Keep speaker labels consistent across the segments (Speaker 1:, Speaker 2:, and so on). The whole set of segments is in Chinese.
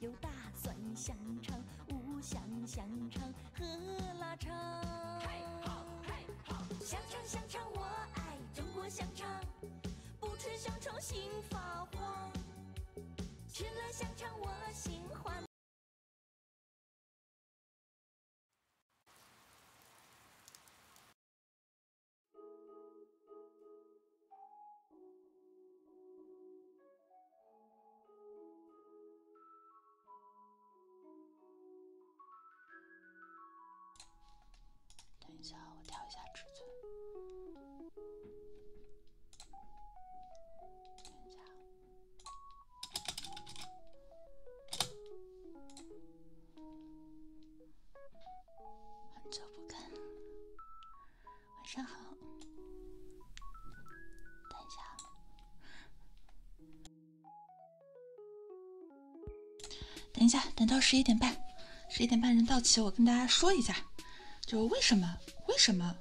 Speaker 1: 有大蒜香肠、五香香肠和腊肠。香肠香肠，我
Speaker 2: 爱
Speaker 3: 中国香肠，不吃香肠心发慌，吃了香肠我心欢。
Speaker 2: 等一下，我调一下尺寸。等一下，很久不看。晚上好，等一下，
Speaker 1: 等一下，等到十一点半，十一点半人到齐，我跟大家说一下，就为什么，为什么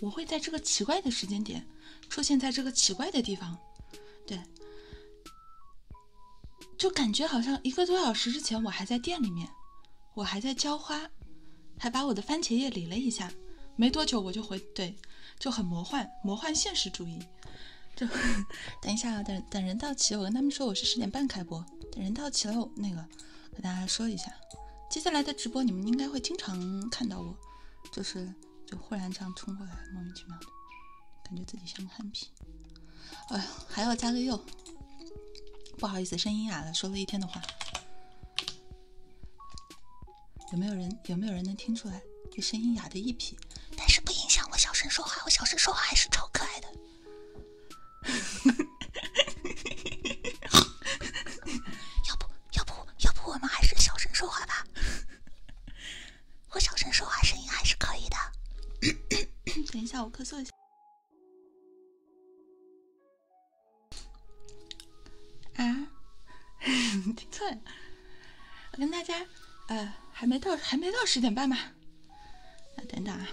Speaker 1: 我会在这个奇怪的时间点出现在这个奇怪的地方？对，就感觉好像一个多小时之前我还在店里面。我还在浇花，还把我的番茄叶理了一下。没多久我就回，对，就很魔幻，魔幻现实主义。就等一下，啊，等等人到齐，我跟他们说我是十点半开播。等人到齐了，那个跟大家说一下，接下来的直播你们应该会经常看到我，就是就忽然这样冲过来，莫名其妙的，感觉自己像个憨批。哎呀，还要加个又。不好意思，声音哑了，说了一天的话。有没有人有没有人能听出来？这声音哑的一批。但是不影响我小声说话，我小声说话还是超可爱的。要不，要不，要不我们还是小声说话吧。我小声说话声音还是可以的。等一下，我咳嗽一下。啊，听错了，我跟大家，呃，还没到，还没到十点半吧？啊，等等啊，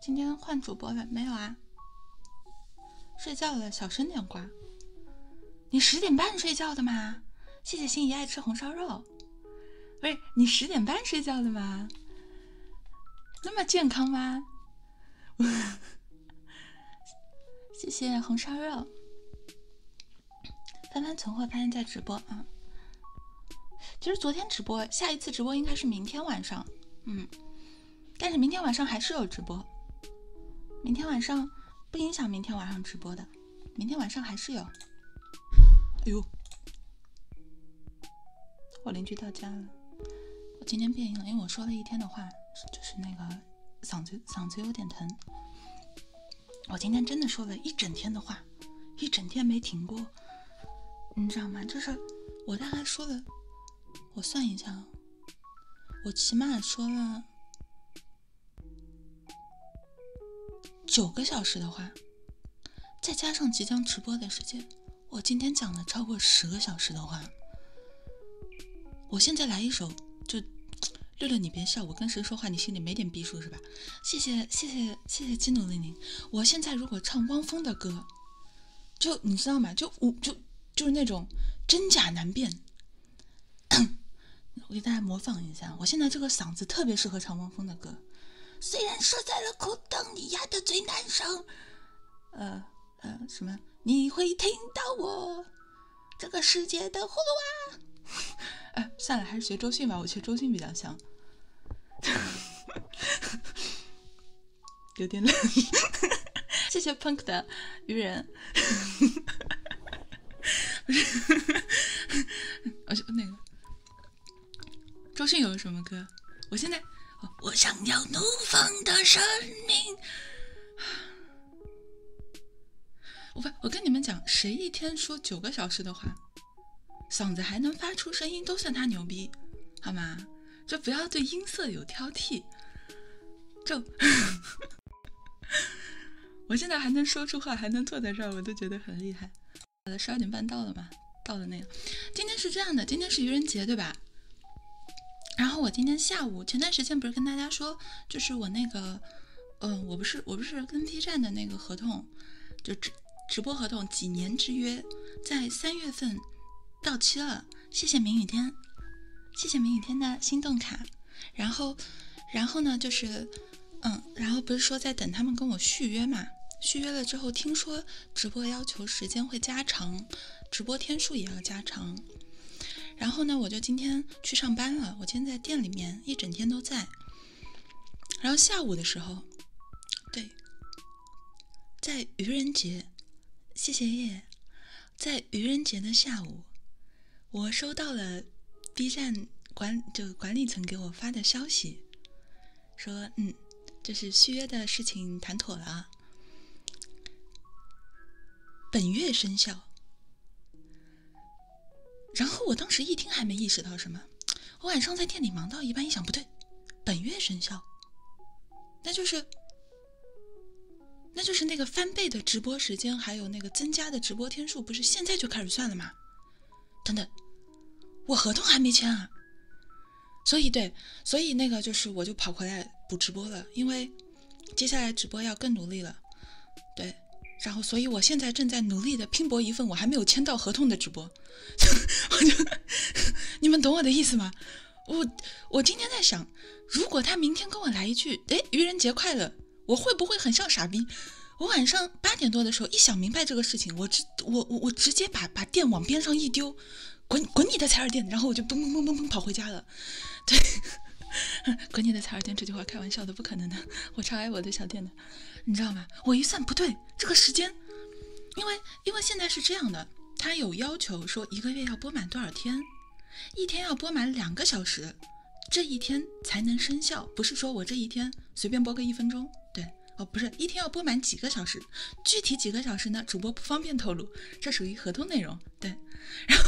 Speaker 1: 今天换主播了没有啊？睡觉了，小声点挂。你十点半睡觉的吗？谢谢心仪爱吃红烧肉。喂，你十点半睡觉的吗？那么健康吗？谢谢红烧肉。翻翻存货，翻翻在直播啊。其实昨天直播，下一次直播应该是明天晚上，嗯。但是明天晚上还是有直播，明天晚上不影响明天晚上直播的，明天晚上还是有。哎呦！我邻居到家了。我今天变音了，因为我说了一天的话，就是那个嗓子嗓子有点疼。我今天真的说了一整天的话，一整天没停过，你知道吗？就是我大概说了，我算一下，我起码说了九个小时的话。再加上即将直播的时间，我今天讲了超过十个小时的话，我现在来一首就，六六你别笑，我跟谁说话你心里没点逼数是吧？谢谢谢谢谢谢金努玲玲，我现在如果唱汪峰的歌，就你知道吗？就我就就是那种真假难辨，我给大家模仿一下，我现在这个嗓子特别适合唱汪峰的歌。虽然说在了苦等你压的最难受，呃呃，什么？你会听到我这个世界的葫芦娃？哎，算了，还是学周迅吧。我学周迅比较像。有点冷。谢谢 Punk 的愚人。不是，我去那个。周迅有什么歌？我现在，
Speaker 2: 我想要怒放的生命。
Speaker 1: 我不，我跟你们讲，谁一天说九个小时的话，嗓子还能发出声音，都算他牛逼，好吗？就不要对音色有挑剔。就，我现在还能说出话，还能坐在这儿，我都觉得很厉害。十二点半到了嘛，到了那个，今天是这样的，今天是愚人节对吧？然后我今天下午，前段时间不是跟大家说，就是我那个，嗯，我不是，我不是跟 B 站的那个合同，就直直播合同几年之约，在三月份到期了。谢谢明雨天，谢谢明雨天的心动卡。然后，然后呢，就是，嗯，然后不是说在等他们跟我续约嘛？续约了之后，听说。直播要求时间会加长，直播天数也要加长。然后呢，我就今天去上班了。我今天在店里面一整天都在。然后下午的时候，对，在愚人节，谢谢叶，在愚人节的下午，我收到了 B 站管就管理层给我发的消息。说，嗯，这是续约的事情谈妥了，啊。”本月生效。然后我当时一听还没意识到什么，我晚上在店里忙到一半，一想不对，本月生效，那就是，那就是那个翻倍的直播时间，还有那个增加的直播天数，不是现在就开始算了吗？等等，我合同还没签啊。所以对，所以那个就是我就跑回来补直播了，因为接下来直播要更努力了，对。然后所以我现在正在努力的拼搏一份我还没有签到合同的直播，我就，你们懂我的意思吗？我我今天在想，如果他明天跟我来一句，哎，愚人节快乐，我会不会很像傻逼？我晚上八点多的时候一想明白这个事情，我。我我我直接把把电往边上一丢，滚滚你的采耳店，然后我就嘣嘣嘣嘣嘣跑回家了。对，滚你的采耳店，这句话开玩笑的，不可能的，我超爱我的小店的，你知道吗？我一算不对这个时间，因为因为现在是这样的，他有要求说一个月要播满多少天，一天要播满两个小时，这一天才能生效，不是说我这一天随便播个一分钟，对。哦，不是一天要播满几个小时？具体几个小时呢？主播不方便透露，这属于合同内容。对，然后。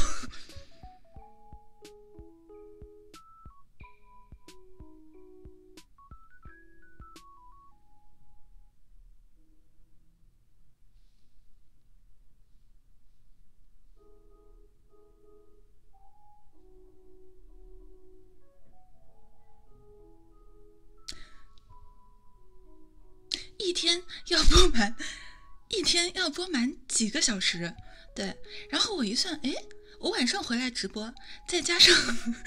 Speaker 1: 一天要播满，一天要播满几个小时？对，然后我一算，哎，我晚上回来直播，再加上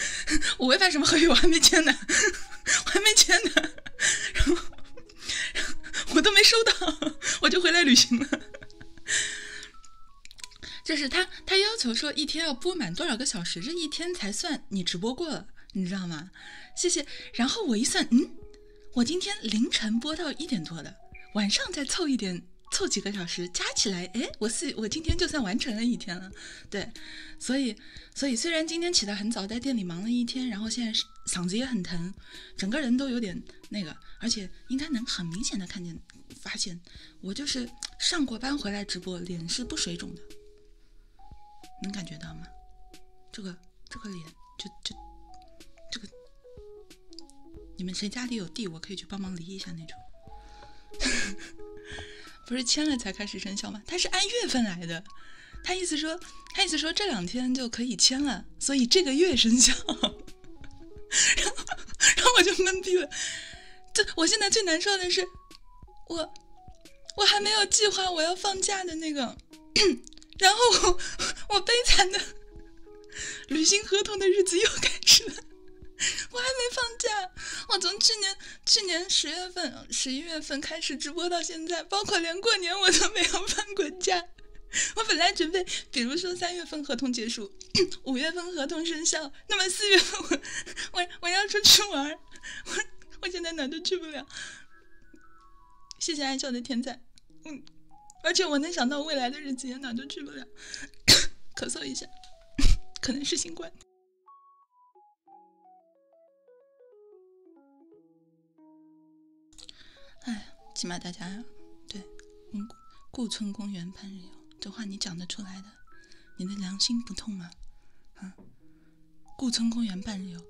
Speaker 1: 我违反什么合约，我还没签呢，我还没签呢，然后我都没收到，我就回来旅行了，就是他。他要求说一天要播满多少个小时，这一天才算你直播过了，你知道吗？谢谢。然后我一算，嗯，我今天凌晨播到一点多的，晚上再凑一点，凑几个小时，加起来，哎，我是我今天就算完成了一天了。对，所以，所以虽然今天起得很早，在店里忙了一天，然后现在嗓子也很疼，整个人都有点那个，而且应该能很明显的看见，发现我就是上过班回来直播，脸是不水肿的。能感觉到吗？这个这个脸就就这个，你们谁家里有地，我可以去帮忙犁一下那种。不是签了才开始生效吗？他是按月份来的，他意思说他意思说这两天就可以签了，所以这个月生效。然后然后我就懵逼了，这我现在最难受的是我。我还没有计划我要放假的那个，然后我我悲惨的履行合同的日子又开始了。我还没放假，我从去年去年十月份、十一月份开始直播到现在，包括连过年我都没有放过假。我本来准备，比如说三月份合同结束，五月份合同生效，那么四月份我 我我要出去玩。我我现在哪都去不了，谢谢爱笑的天才。嗯，而且我能想到未来的日子也哪都去不了。咳嗽一下，可能是新冠。哎，起码大家对，嗯，故村公园潘日游这话你讲得出来的，你的良心不痛吗？啊？顾村公园半日游，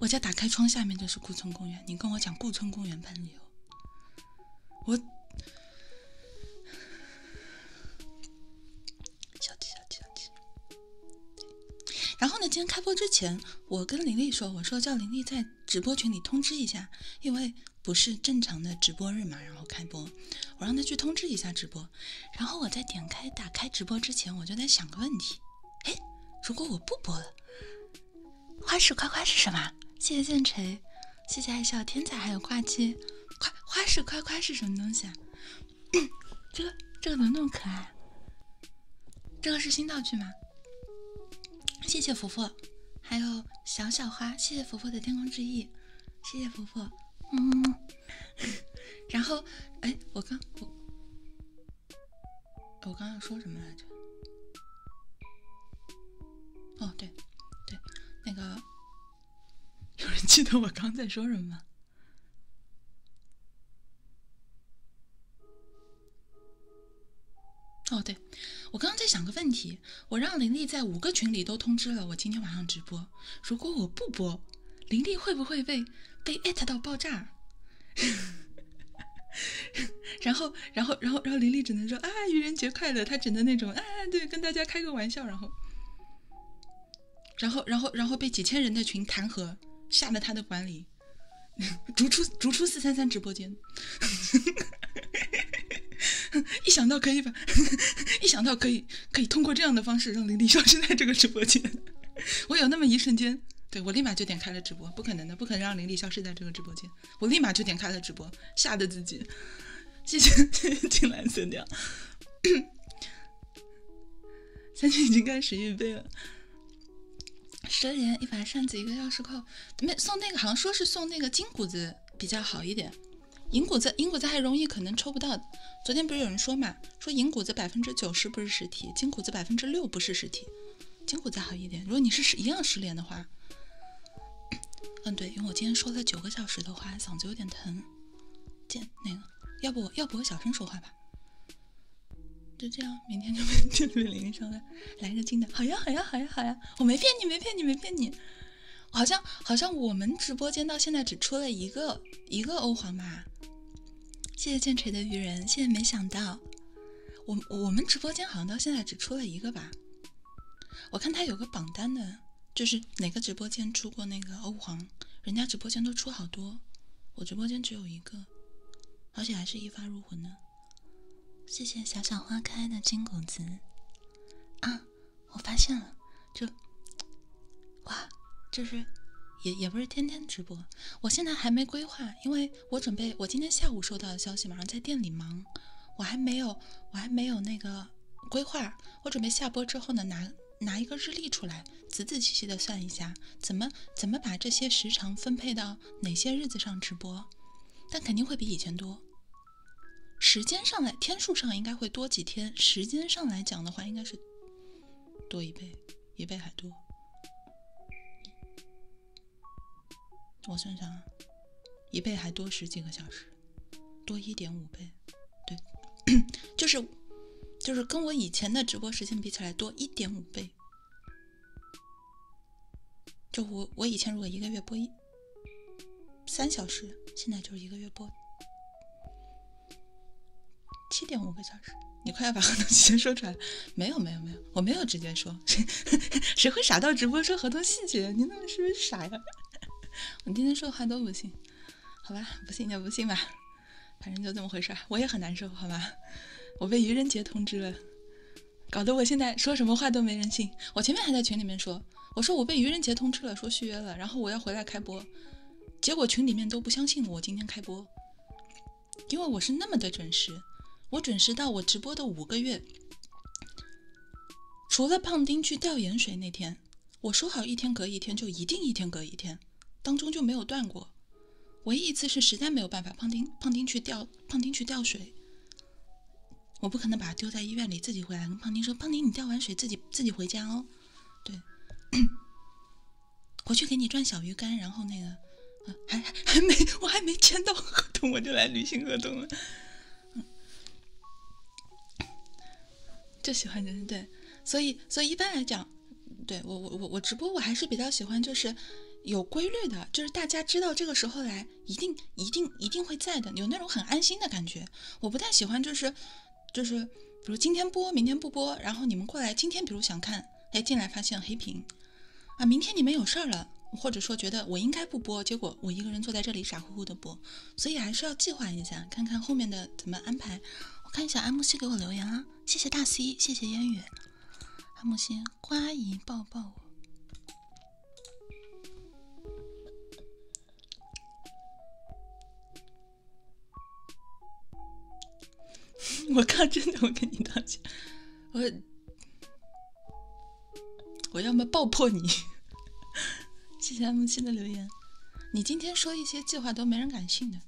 Speaker 1: 我家打开窗下面就是顾村公园。你跟我讲顾村公园半日游，我
Speaker 2: 小气小气小气。
Speaker 1: 然后呢，今天开播之前，我跟林丽说，我说叫林丽在直播群里通知一下，因为不是正常的直播日嘛，然后开播，我让她去通知一下直播。然后我在点开打开直播之前，我就在想个问题，哎，如果我不播了，花式夸夸是什么？谢谢剑锤，谢谢爱笑天才，还有挂机，夸花式夸夸是什么东西啊？这个这个怎么那么可爱？这个是新道具吗？谢谢福福，还有小小花，谢谢福福的天空之翼，谢谢福福，嗯。然后，哎，我刚我我刚要说什么来着？哦，对，对，那个，有人记得我刚在说什么吗？哦，对，我刚刚在想个问题，我让林丽在五个群里都通知了我今天晚上直播，如果我不播。林玲会不会被被艾特到爆炸？然后，然后，然后，然后林玲只能说啊，愚人节快乐。她只能那种啊，对，跟大家开个玩笑。然后，然后，然后，然后被几千人的群弹劾，吓得他的管理逐出逐出四三三直播间。一想到可以吧？一想到可以。可以通过这样的方式让林丽消失在这个直播间。我有那么一瞬间，对我立马就点开了直播，不可能的，不可能让林丽消失在这个直播间，我立马就点开了直播，吓得自己。谢谢，谢谢青蓝色调。三军已经开始预备了，十连一把扇子，一个钥匙扣，没送那个，好像说是送那个金谷子比较好一点。银谷子，银谷子还容易，可能抽不到。昨天不是有人说嘛，说银谷子百分之九十不是实体，金谷子百分之六不是实体，金谷子好一点。如果你是十一样失联的话，嗯，对，因为我今天说了九个小时的话，嗓子有点疼。见那个，要不，要不我小声说话吧。就这样，明天就就铃声了，来个金的，好呀，好呀，好呀，好呀，我没骗你，没骗你，没骗你。好像，好像我们直播间到现在只出了一个。一个欧皇吧，谢谢剑锤的愚人，谢谢没想到，我我们直播间好像到现在只出了一个吧？我看他有个榜单的，就是哪个直播间出过那个欧皇，人家直播间都出好多，我直播间只有一个，而且还是一发入魂呢。谢谢小小花开的金谷子啊。我发现了，就，哇，就是，也也不是天天直播。我现在还没规划，因为我准备我今天下午收到的消息，马上在店里忙。我还没有，我还没有那个规划。我准备下播之后呢，拿拿一个日历出来，仔仔细细的算一下，怎么怎么把这些时长分配到哪些日子上直播。但肯定会比以前多，时间上来天数上应该会多几天。时间上来讲的话，应该是。多一倍，一倍还多。我算算啊，一倍还多十几个小时，多一点五倍。对，就是就是跟我以前的直播时间比起来多一点五倍。就我我以前如果一个月播一三小时，现在就是一个月播。七点五个小时，你快要把合同细节说出来没有没有没有，我没有直接说，谁会傻到直播说合同细节？你他妈是不是傻呀？我今天说的话都不信，好吧，不信就不信吧，反正就这么回事。我也很难受，好吧，我被愚人节通知了，搞得我现在说什么话都没人信。我前面还在群里面说，我说我被愚人节通知了，说续约了，然后我要回来开播。结果群里面都不相信我今天开播，因为我是那么的准时，我准时到我直播的五个月，除了胖丁去吊盐水那天，我说好一天隔一天就一定一天隔一天，当中就没有断过。唯一一次是实在没有办法，胖丁胖丁去吊，胖丁去吊水，我不可能把他丢在医院里，自己回来跟胖丁说，胖丁你吊完水自己自己回家哦。对，我去给你转小鱼干，然后那个，还还没，我还没签到合同，我就来履行合同了。嗯，就喜欢这对，所以所以一般来讲，对我我我我直播我还是比较喜欢就是有规律的，就是大家知道这个时候来，一定一定一定会在的，有那种很安心的感觉。我不太喜欢就是。就是，比如今天播，明天不播，然后你们过来，今天比如想看，哎，进来发现黑屏，啊，明天你们有事儿了，或者说觉得我应该不播，结果我一个人坐在这里傻乎乎的播，所以还是要计划一下，看看后面的怎么安排。我看一下安慕希给我留言啊，谢谢大 C，谢谢烟雨，安慕希，瓜姨抱抱我。我靠！真的，我跟你道歉。我我要么爆破你。谢谢 M 七的留言。你今天说一些计划都没人敢信的。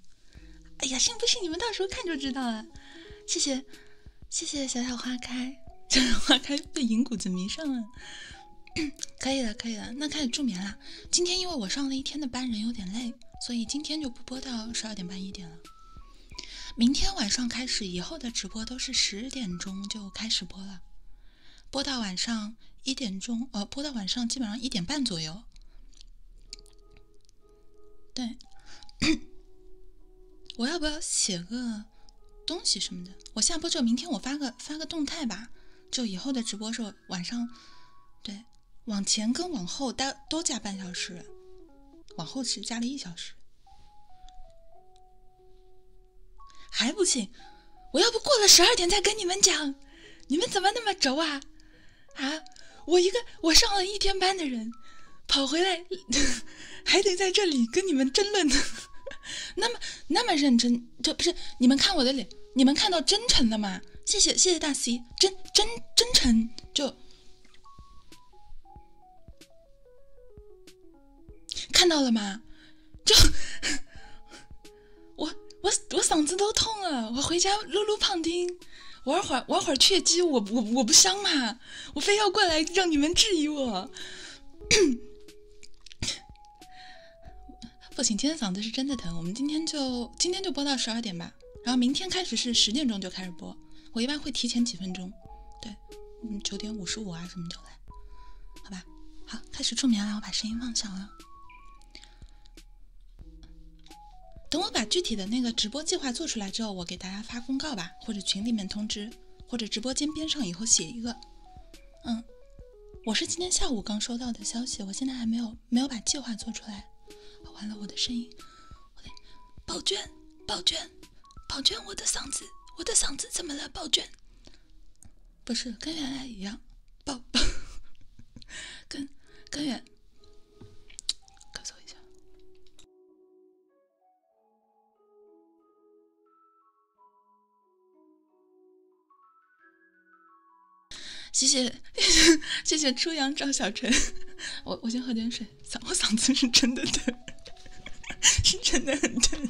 Speaker 1: 哎呀，信不信你们到时候看就知道了。谢谢谢谢小小花开。小小花开被银谷子迷上了。可以了，可以了，那开始助眠了。今天因为我上了一天的班，人有点累。所以今天就不播到十二点半一点了，明天晚上开始，以后的直播都是十点钟就开始播了，播到晚上一点钟，呃，播到晚上基本上一点半左右。对，我要不要写个东西什么的？我下播之后，明天我发个发个动态吧，就以后的直播时候晚上，对，往前跟往后都都加半小时，往后是加了一小时，还不信？我要不过了十二点再跟你们讲，你们怎么那么轴啊？啊，我一个我上了一天班的人，跑回来 还得在这里跟你们争论，那么那么认真，这不是你们看我的脸，你们看到真诚了吗？谢谢谢谢大 C。真真真诚，就看到了吗？就我我我嗓子都痛了，我回家撸撸胖丁，玩会儿玩会儿雀姬，我我我不香吗？我非要过来让你们质疑我。不行，今天嗓子是真的疼，我们今天就今天就播到十二点吧，然后明天开始是十点钟就开始播。我一般会提前几分钟，对，嗯，九点五十五啊什么就来，好吧，好，开始助眠了，我把声音放小了。等我把具体的那个直播计划做出来之后，我给大家发公告吧，或者群里面通知，或者直播间边上以后写一个。嗯，我是今天下午刚收到的消息，我现在还没有没有把计划做出来。完了，我的声音，
Speaker 2: 我的宝娟，宝娟，宝娟，我的嗓子，我的嗓子怎么了？宝娟，
Speaker 1: 不是跟原来一样，
Speaker 3: 宝宝，跟跟原，咳嗽一下。谢谢
Speaker 1: 谢谢谢谢初阳赵小晨，我我先喝点水，嗓我嗓子是真
Speaker 3: 的疼，是真的很疼。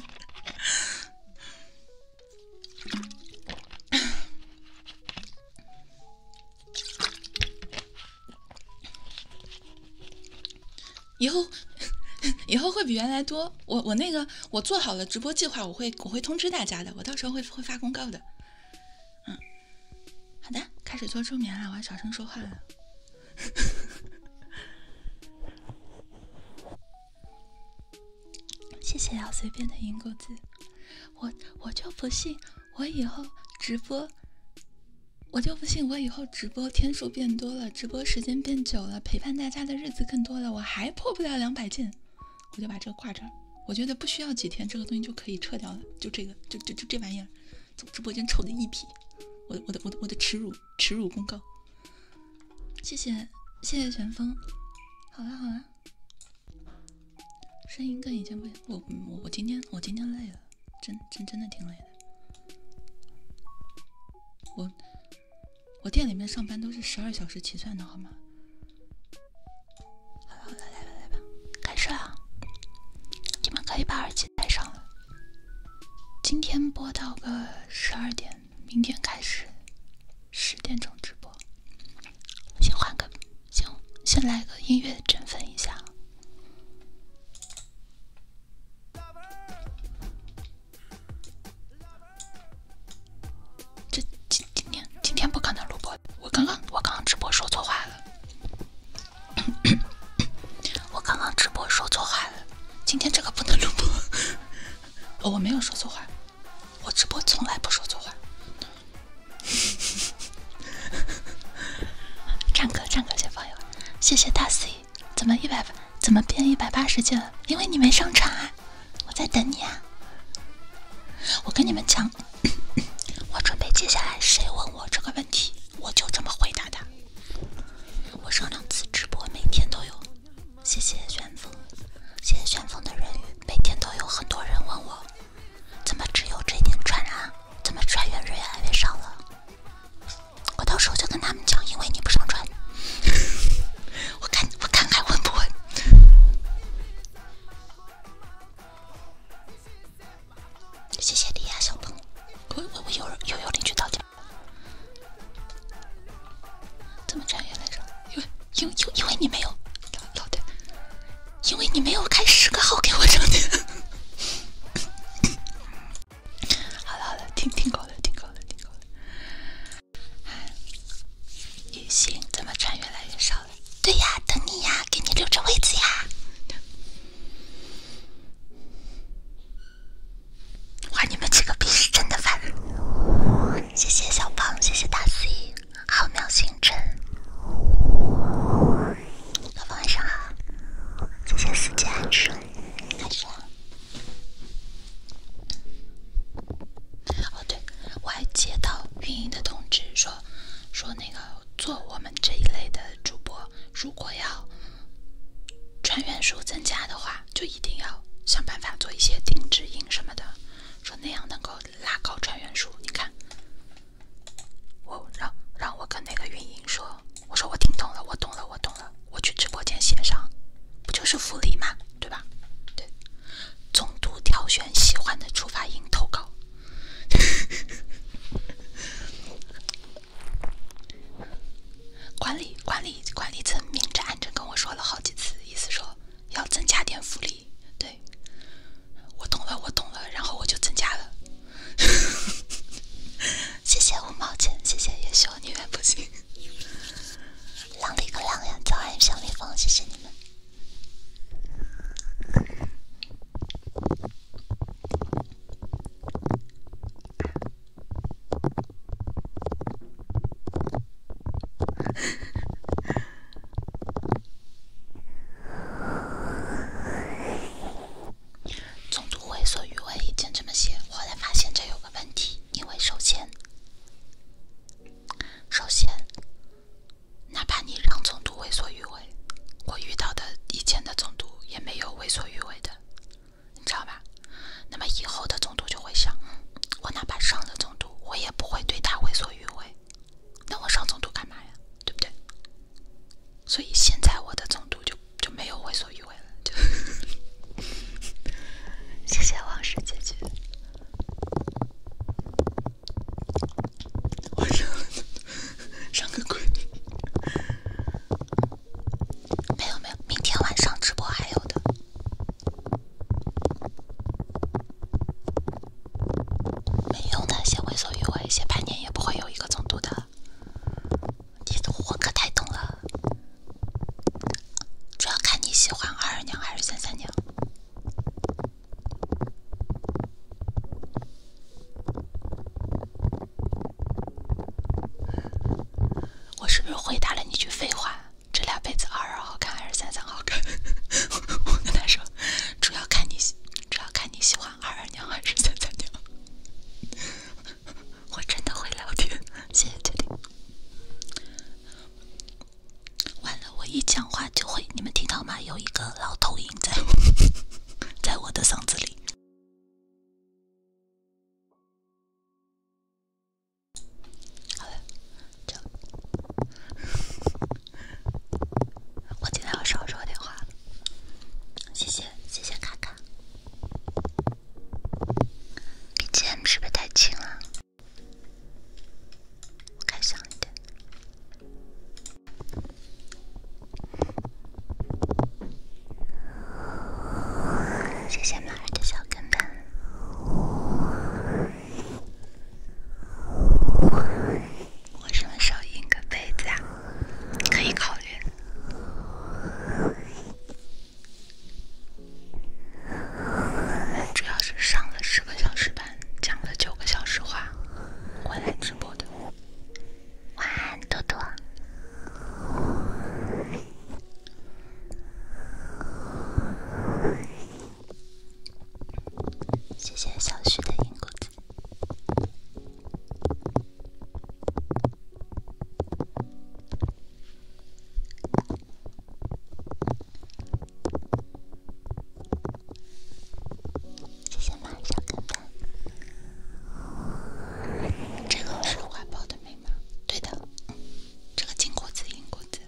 Speaker 1: 以后 以后会比原来多，我我那个我做好了直播计划，我会我会通知大家的，我到时候会会发公告的，嗯。好的，开始做助眠了，我要小声说话了。谢谢要随便的银谷子，我我就不信，我以后直播，我就不信我以后直播天数变多了，直播时间变久了，陪伴大家的日子更多了，我还破不了两百件。我就把这个挂这儿，我觉得不需要几天，这个东西就可以撤掉了。就这个，就就就这玩意儿，从直播间臭的一批。我的我的我的我的耻辱耻辱公告，谢谢谢谢玄风。好了好了，声音跟以前不，我我我今天我今天累了，真真真的挺累的。我我店里面上班都是十二小时起算的，好吗？
Speaker 3: 好了好了，来吧来吧，开
Speaker 2: 始了。你们可以把耳机戴上了。今天播到个十二点，明天开始十点钟直播。先换个，先先来个音乐振奋一下。这今今天今天不可能录播。我刚刚我刚刚直播说错话了，我刚刚直播说错话了。今天这个不能录播，我没有说错话，我直播从来不说错话。唱歌唱歌先放一会儿，谢谢大 C，怎么一百怎么变一百八十斤了？因为你没上场啊，我在等你啊，我跟你们讲。我准备接下来谁问我这个问题，我就这么回答他。我上两次直播每天都有，谢谢旋风，谢谢旋风的人鱼，每天都有很多人问我，怎么只有这点穿啊？怎么穿越人越来越少了？我到时候就跟他们讲，因为你不上传。我看，我看看问不问。谢谢你呀，小鹏。我我有人又有邻居到家，怎么赚越来着，因为因因因为你没有，老因为你没有开十个号给我挣钱。好了好了，听听够了听够了听够了。也行，怎么赚越来越少？对呀，等你呀，给你留着位子呀。哇，你们几个逼是真的烦。谢谢小胖，谢谢大 C，浩渺星辰。晚上好。谢谢四季安生。开始了。哦对，我还接到运营的通知，说说那个。做我们这一类的主播，如果要传员数增加的话，就一定要想办法做一些定制音什么的，说那样能够拉高传员数。你看，我让让我跟那个运营说，我说我听懂了，我懂了，我懂了，我去直播间写上，不就是福利吗？对吧？对，总督挑选喜欢的触发音投稿。管理管理管理层明着暗着跟我说了好几次，意思说要增加点福利。对，我懂了我懂了，然后我就增加了。谢谢五毛钱，谢谢叶修你们不行。浪里个浪呀，早安小蜜蜂，谢谢你们。总督为所欲为，就这么写。后来发现这有个问题，因为首先，首先。哪怕你让总督为所欲为，我遇到的以前的总督也没有为所欲为的，你知道吧？那么以后的总督就会想，嗯，我哪怕上了总督，我也不会对他为所欲为。那我上总督干嘛呀？对不对？所以现在我的总督就就没有为所欲为了，就。谢谢王氏姐姐。晚上没有没有，明天晚上直播还有的。没为所欲为，也不会有一个总督的。你我可太懂了，主要看你喜欢二二娘还是三三娘。我是不是回答了你句废话？这俩被子，二二好看还是三三好看？我跟他说，主要看你，主要看你喜欢二二娘还是三三娘。我真的会聊天，谢谢鉴定。完了，我一讲话就会，你们听到吗？有一个老头影。在，
Speaker 3: 在我的嗓子里。好了，就我今天要少说点话。谢谢，谢谢卡卡。b g 是不是太轻了？我开响一点。谢谢马儿的小跟班。
Speaker 2: 我什么时候印个杯子啊？可以考虑。主要是上了十个小时班，讲了九个小时
Speaker 3: 话，回来吃。晚安，多多。谢谢小徐的银谷子。谢谢马小哥哥，这个是怀抱的眉毛，对的，这个金果子、银果子，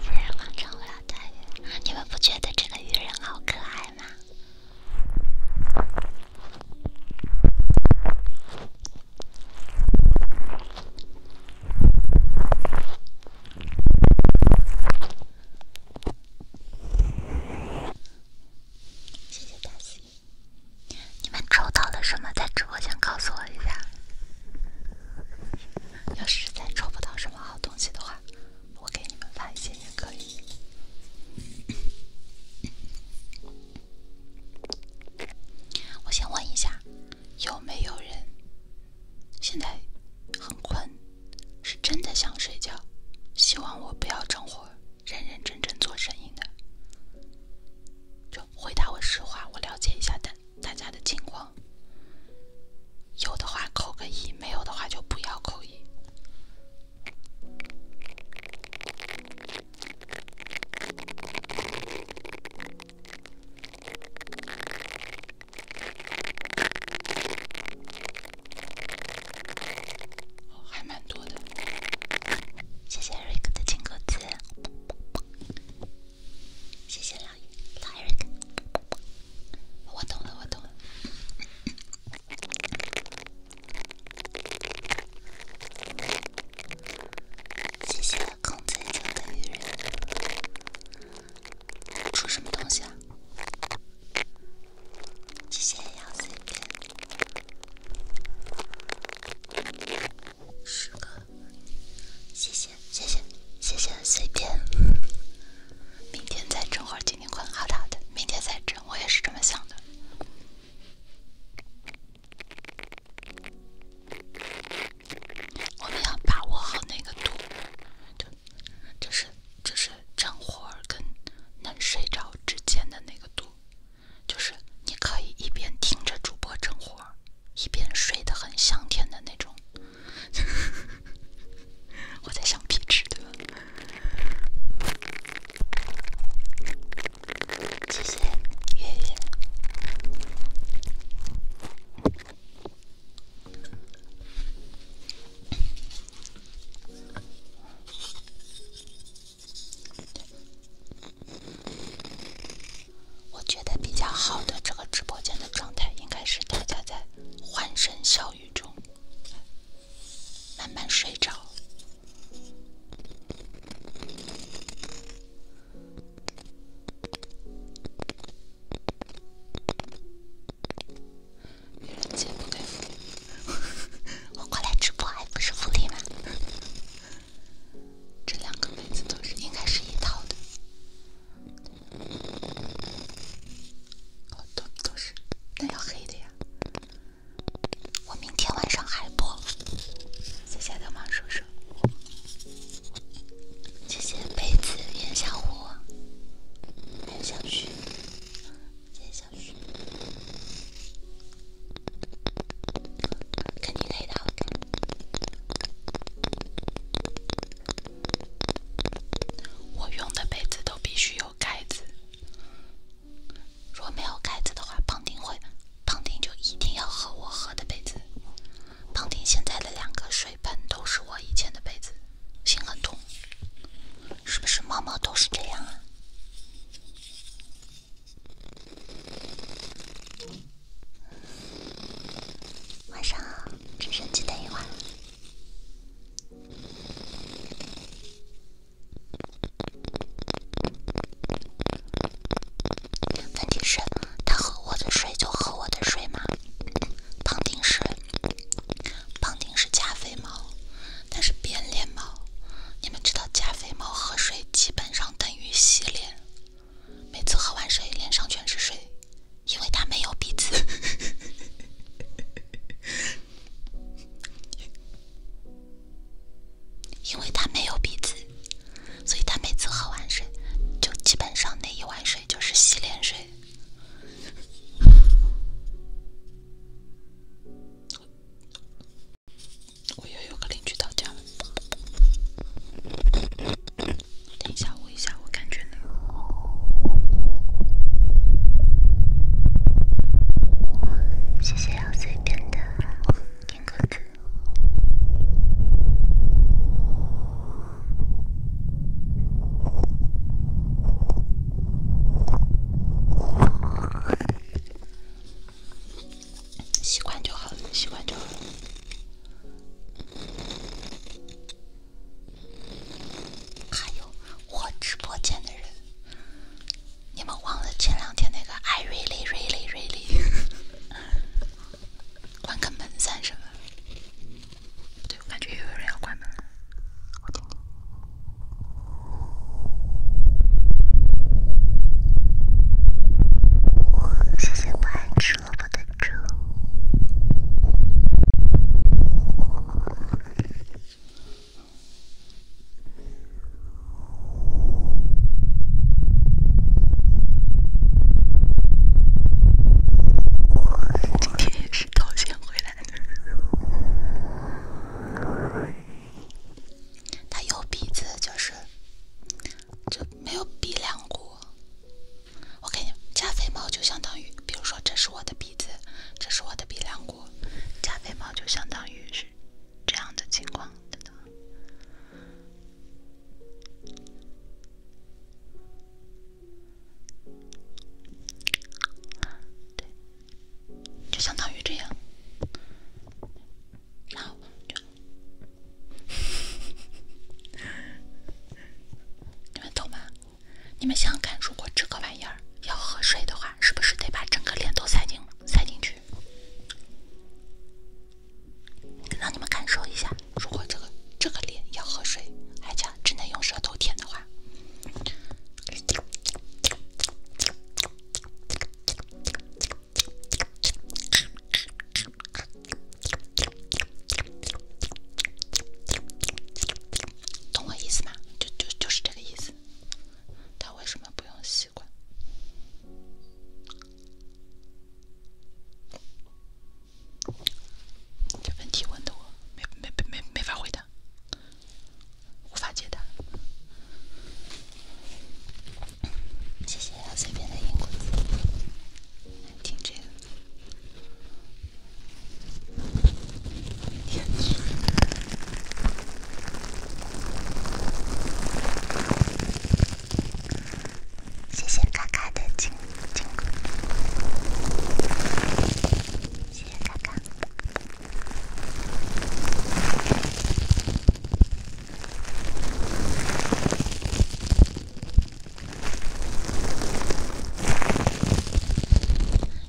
Speaker 2: 竟然完成不了待遇，你们不觉得这个鱼人好可爱吗？谢谢大西，你们抽到了什么？在直播间告诉我一下。要是在抽不到什么好东西的话，我给你们发一些也可以。我先问一下，有没有人现在很困，是真的想睡觉？希望我不要整活，认认真真做生意的，就回答我实话，我了解一下大大家的情况。有的话扣个一，没有的话就不要扣一。还蛮多的，谢谢瑞哥的金
Speaker 3: 钩子，谢谢老爷。老瑞哥，我懂了，我懂了。谢谢孔子，求得鱼人出什么东西啊？谢谢幺碎片，十个。谢谢谢谢谢谢碎片。
Speaker 2: 明天再整会儿，今天困。好的好的，明天再整。我也是这么想的。我们要把握好那个度，对，就是就是正活儿跟能睡着之间的那个度，就是你可以一边听着主播正活儿，一边睡得很香甜的那种。我在想皮吃，对吧？谢谢月月。我觉得比较好的这个直播间的状态，应该是大家在欢声笑语中慢慢睡着。别人接我过来直播还不是福利吗？这两个杯子都是，应该是一套的。哦，都都是，那要黑的呀。我明天
Speaker 3: 晚上还播。谢谢得忙，叔叔，谢谢杯子颜小虎、颜小徐、颜小徐，肯定可以的。
Speaker 2: 我用的杯子都必须有盖子，如果没有盖子的话，碰丁会。胖丁就一定要喝我喝的杯子，胖丁现在的两个水盆都是我以前的杯子，心很痛，是不是猫猫都是这样啊？晚上好，直升机等一会问题是，他喝我的水就喝我的水吗？胖丁是，胖丁是加菲猫，但是变脸猫。你们知道加菲猫喝水基本上等于洗脸，每次喝完水脸上全是水，因为它没有鼻子。因为他没有鼻子，所以他每次喝完水，就基本上那一碗水就是洗脸水。我又有个邻居到家了，等一下我一下，我感觉呢。谢谢要随便的。习惯就好了，习惯就好还有我直播间的人，你们忘了前两天那个？I really, really, really。关个门算什么？对我感觉又有人要关门，我听听。谢谢不爱吃萝卜的猪。今天也是掏钱回来的。它有鼻子，就是就没有鼻梁骨。我感觉加肥猫就相当于，比如说，这是我的鼻子，这是我的鼻梁骨，加肥猫就相当于是这样的情况。对，就相当于这样。然后就，你们懂吗？你们想想看，如果这个玩意儿要喝水的话，是不是得把整个脸都塞进塞进去？让你们感受一下，如果这个这个脸要喝水，而且只能用舌头舔的话，懂我意思吗？就就就是这个意思。他为什么不用吸管？这问题问的我没没没没法回答，无法解答。谢谢随便的音公子，难听这个。天哪！谢
Speaker 3: 谢卡卡的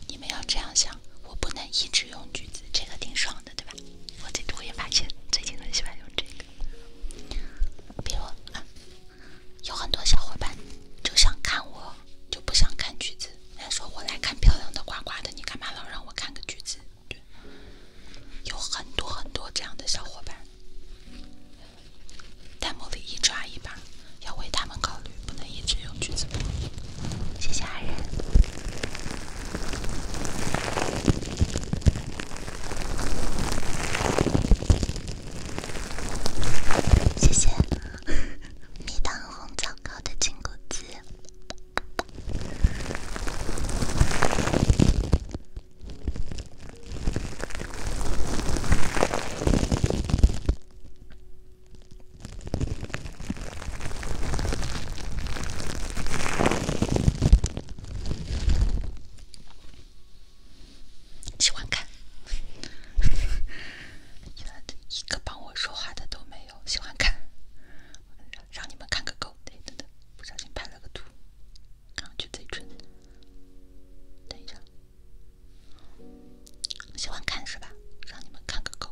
Speaker 3: 你们要这样想，
Speaker 2: 我不能一直用橘子，这个挺爽的，对吧？我最我也发现最近很喜欢用这个。比如啊，有很多小伙伴就想看我，就不想看橘子。他说：“我来看漂亮的、夸夸的，你干嘛老让我看个橘子？”对，有很多很多这样的小伙伴，弹幕里一抓一把，要为他们考虑，不能一直用橘子谢谢爱人。谢谢蜜 糖红枣糕的亲个子。喜欢看，一个帮我说话的都没有。喜欢看，让你们看个够。等等等，不小心拍了个图，看我撅嘴唇。等一下，喜欢看是吧？让你们看个够。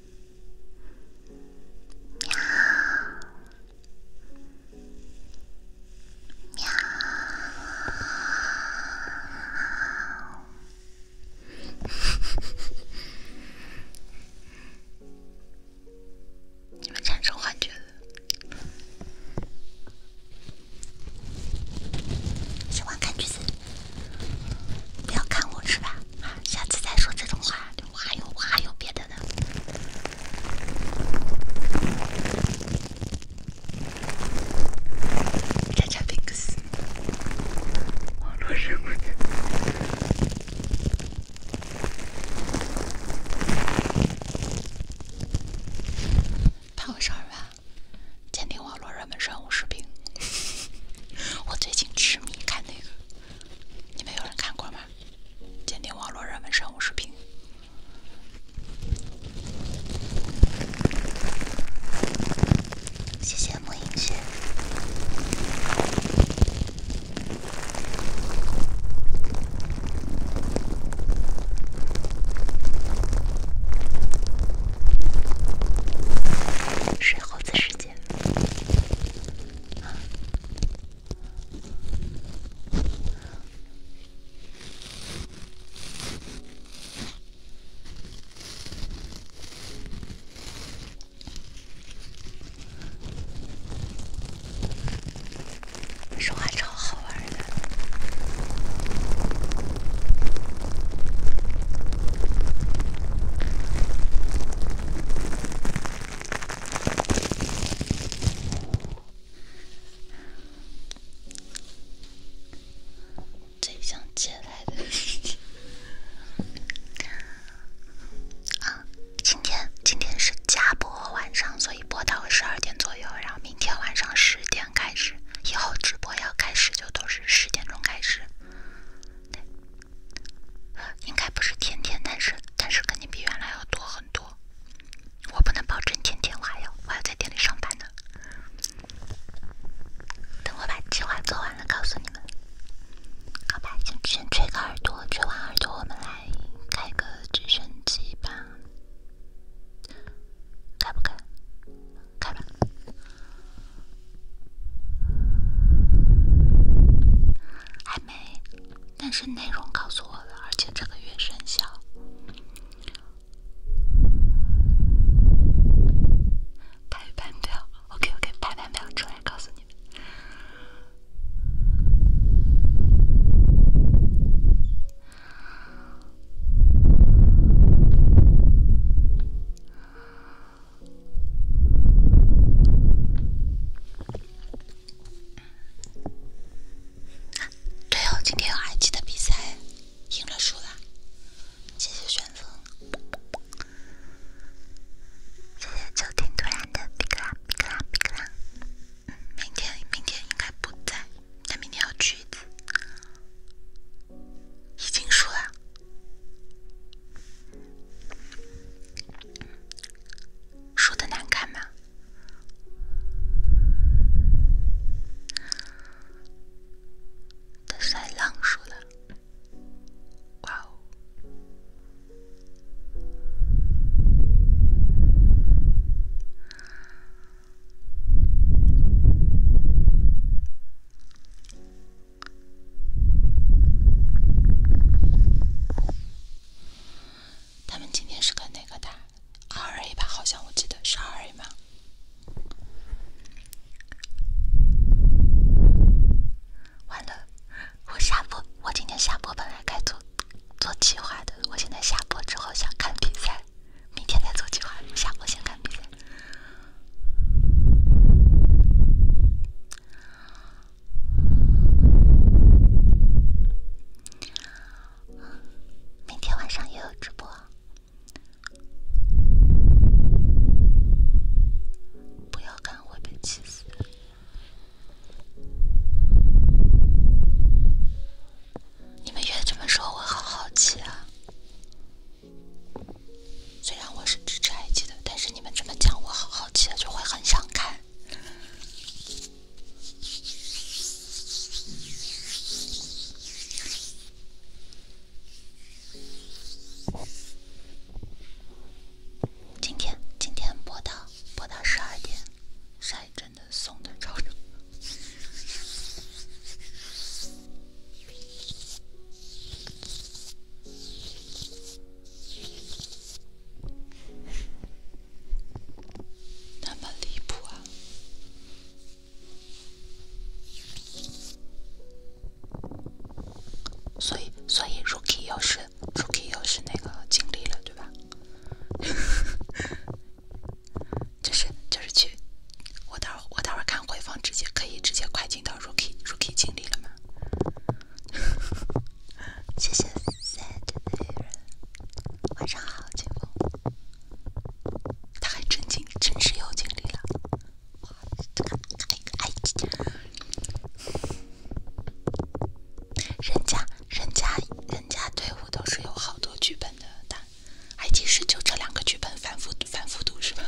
Speaker 2: 喵，喵，你们产生幻觉喜欢看句子，不要看我，是吧？下次再说这种话。我还有，我还有别的呢。查
Speaker 3: 查网络热门。
Speaker 2: 办我吧，网络热门视频。我最近痴迷看那个，你们有人看过吗？鉴定网络热门生活视频。谢谢莫映雪。水猴子时间。说话超好玩的。最想接来的事情 啊！今天今天是加播晚上，所以播到十二点左右。然后明天晚上十点开始，以后直播要开始就都是十点钟开始。对。应该不是天天但是但是肯定比原来要多很多。我不能保证天天还要，还要在店里上班呢。等我把计划做完了，告诉你们。好吧，先先吹个耳朵，吹完耳朵我们来开个直升机吧，开不开？开吧。还没。但是内容告诉我了，而且这个月生效。排版表 o k OK，排版表出来告诉你们。对哦，今天有埃及的比赛，赢了输了，谢谢选择，谢谢昨天突然的皮克拉皮克拉皮克拉，
Speaker 3: 明天明天应该不在，他明天要橘子，已经输了。说的难看吗？他算浪说了：“哇哦！
Speaker 2: 他们今天是跟哪个打？二 A 吧，好像我记得是二 A 吗？完了，我下播，我今天下播本来该做做计划的，我现在下播之后想看比赛，明天再做计划，下播先看比赛。明天晚上也有直播，不要看会被气死。你们越这么说，我好好奇啊。虽然我是支持埃及的，但是你们这么讲，我好好奇的就会很想看。今天，今天播到播到十二点，晒真的送的超正。那么离谱，啊，所以所以 rookie 又是 rookie 又是那个经历了，对吧？就是就是去，我待会儿我待会儿看回放，直接可以直接快进到 rookie rookie 经历了吗？谢谢 sad 贝人，晚上好，清风。他还真经，真是有经历了。人家，人家，人家队伍都是有好多剧本的。他，哎，其实就这两个剧本反复，反复读是吧？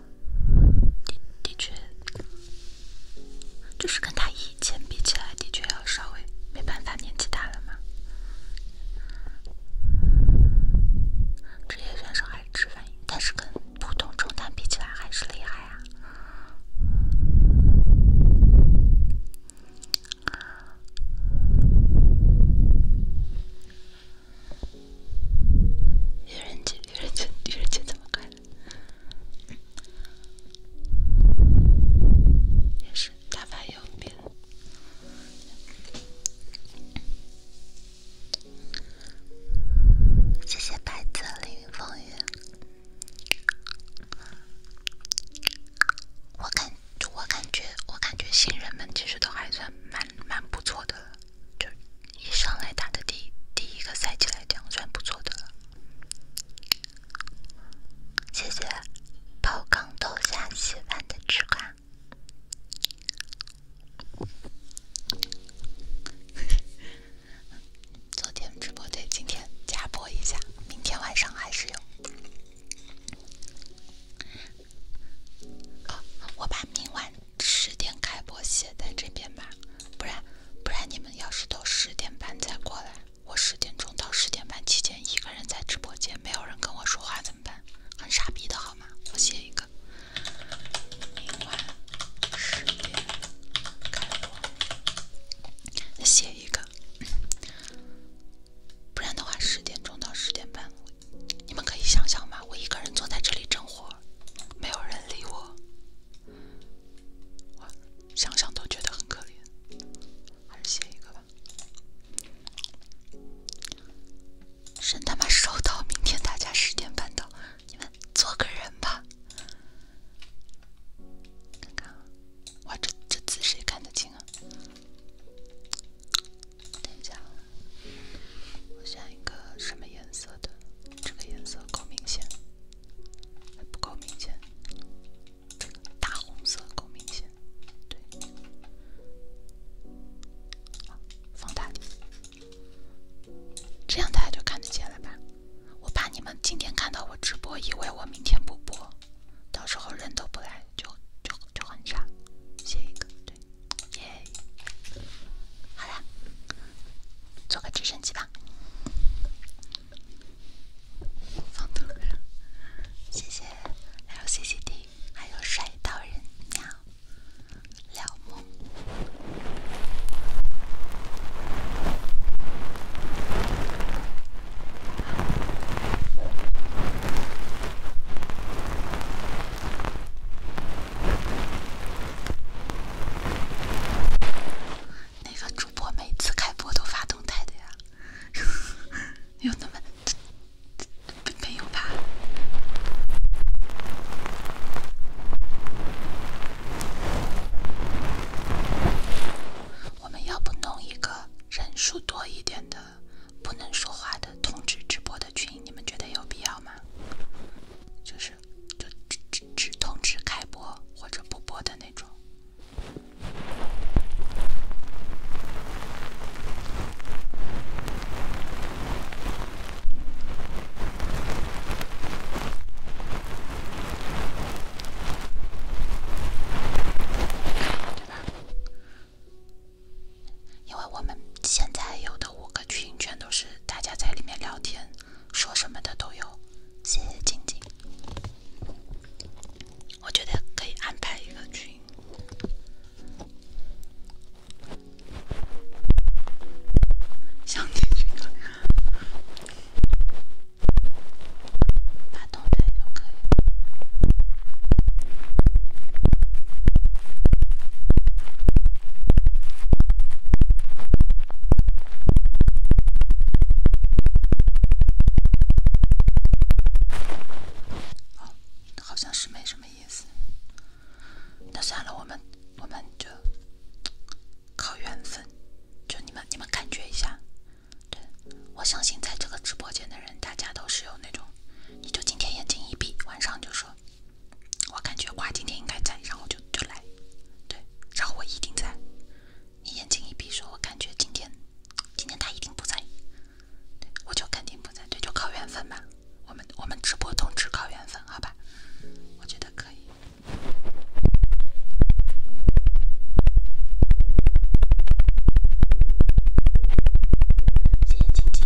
Speaker 2: 的的确，就是跟他以前比起来，的确要稍微没办法，年纪大了嘛。职业选手还是吃分，但是跟
Speaker 3: 普通中单比起来还是厉害啊。狄仁杰，狄仁杰，狄仁杰怎么来也是打发右边。
Speaker 2: 谢谢白泽凌风雨。我感，我感觉，我感觉新人们其实都还算蛮蛮不错的，就。一上来打的第第一个赛季来讲，算不错的了。谢谢泡缸豆下稀饭的吃瓜。昨天直播对，今天加播一下，明天晚上还是有。我把明晚十点开播写在这边吧，不然。不然你们要是都十点半再过来，我十点钟到十点半期间一个人在直播间，没有人跟我说话怎么办？很傻逼的号码，我写一个。另外十点开播，写一个。不然的话，十点钟到十点半，你们可以想想嘛，我一个人坐在这里整活。没有人理我，我想想都觉得很可怜，还是写一个吧。真他妈收到，明天大家十点半到，你们做个人吧。看看啊，哇，这这字谁看得清啊？等一下，我选一个什么颜色的？这个颜色够明显，还不够明显。这个大红色够明显，对。放大点，这样大家就看得见了吧？我怕你们今天看到我直播，以为我明天不播，到时候人都不来，就就就很差。写一个，对，耶。好啦。坐个直升机吧，放图了，谢谢 L C C D 还有帅到人鸟，了梦。那个主播每次开播都发动态的呀？有那么没有吧？我们要不弄一个人数多一点的、不能说话的通知直播的群？你们觉得有必要吗？就是就。只通知开播或者不播的那种，因为我们现在有的五个群全都是大家在里面聊天，说什么的都有。谢谢静静，我觉得可以安排一个群，相亲群，发头像就可以。哦，好像是没什么意思。那算了，我们我们就靠缘分。就你们你们感觉一下，对，我相信在这个直播间的人，大家都是有那种，你就今天眼睛一闭，晚上就说，我感觉瓜今天应该在，然后就就来，对，然后我一定在。你眼睛一闭，说我感觉今天，今天他一定不在，我就肯定不在，对，就靠缘分吧。我们我们直播通知靠缘分，好吧？我觉得可以。谢谢晶晶。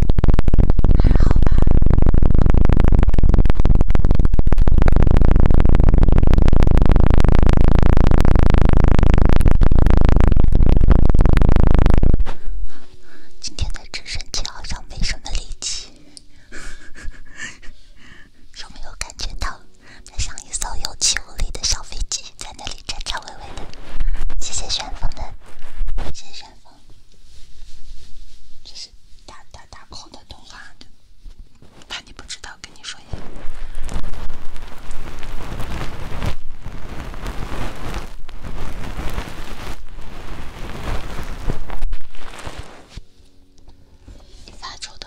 Speaker 2: 还好吧。今天的直升机好像没什么力气，有没有感觉到它像一艘有气无力的小飞机，在那里颤颤巍巍的？谢谢旋风的，谢谢。这是打打打空的通话，怕你不知道，跟你说一下。你发愁的。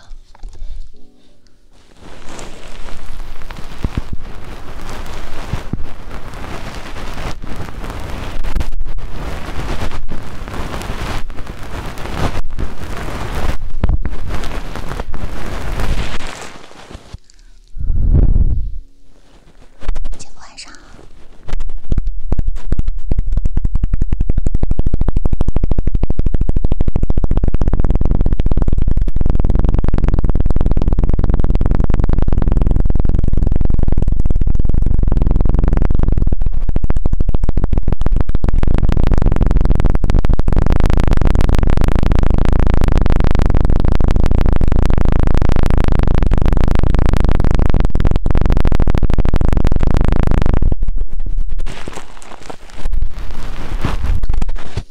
Speaker 2: 姐夫晚上好。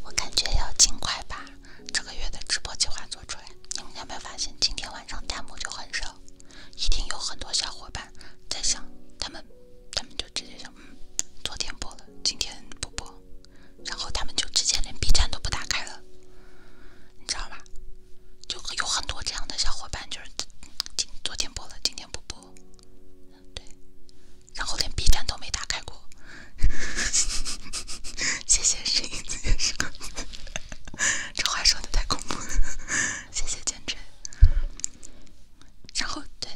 Speaker 2: 我感觉要尽快把这个月的直播计划做出来。你们有没有发现，今天晚上弹幕就很少？一定有很多小伙伴在想，他们他们就直接想，嗯，昨天播了，今天不播，然后他们就直接连 B 站都不打开了，你知道吧？就有很多这样的小伙伴，就是今昨天播了，今天不播，对，然后连 B 站都没打开过。谢谢十一，谢 是 这话说的太恐怖了，谢谢坚持。然后对，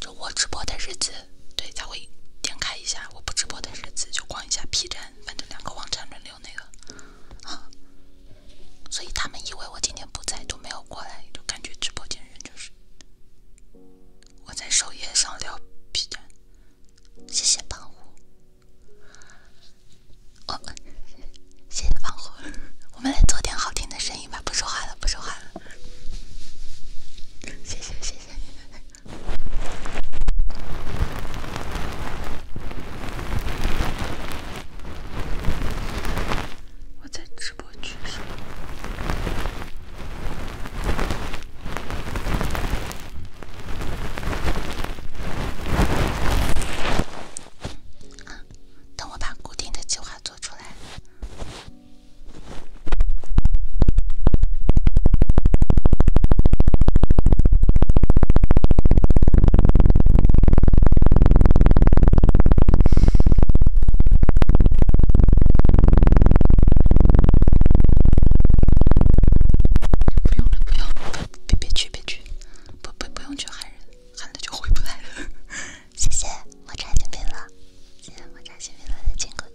Speaker 2: 就我直播的日子，对他会点开一下；我不直播的日子就逛一下 P 站，反正两个网站轮流那个。所以他们以为我今天不在，都没有过来，就感觉直播间人就是我在首页上聊 P 站。谢谢胖虎。我们谢谢放火，我们来做点好听的声音吧，不说话了，不说话了。谢谢谢谢，
Speaker 3: 我在直播区说。等我把固定的计划做出来。
Speaker 2: 不用了，别别去，别去，不不不用去喊人，喊了就回不来了。
Speaker 3: 谢谢，我拆金币了，谢谢我拆金币了的坚果子。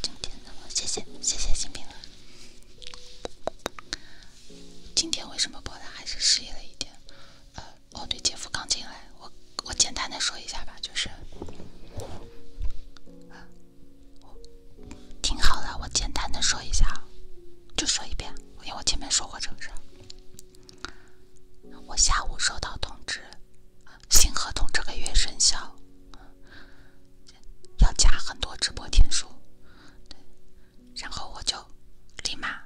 Speaker 2: 今天的，谢谢谢谢新兵了。今天为什么播的还是失忆了一点？呃，哦对，姐夫刚进来，我我简单的说一下吧，就是，听好了，我简单的说一下，就说一遍，因为我前面说过这个事。儿。我下午收到通知，新合同这个月生效，要加很多直播天数。然后我就立马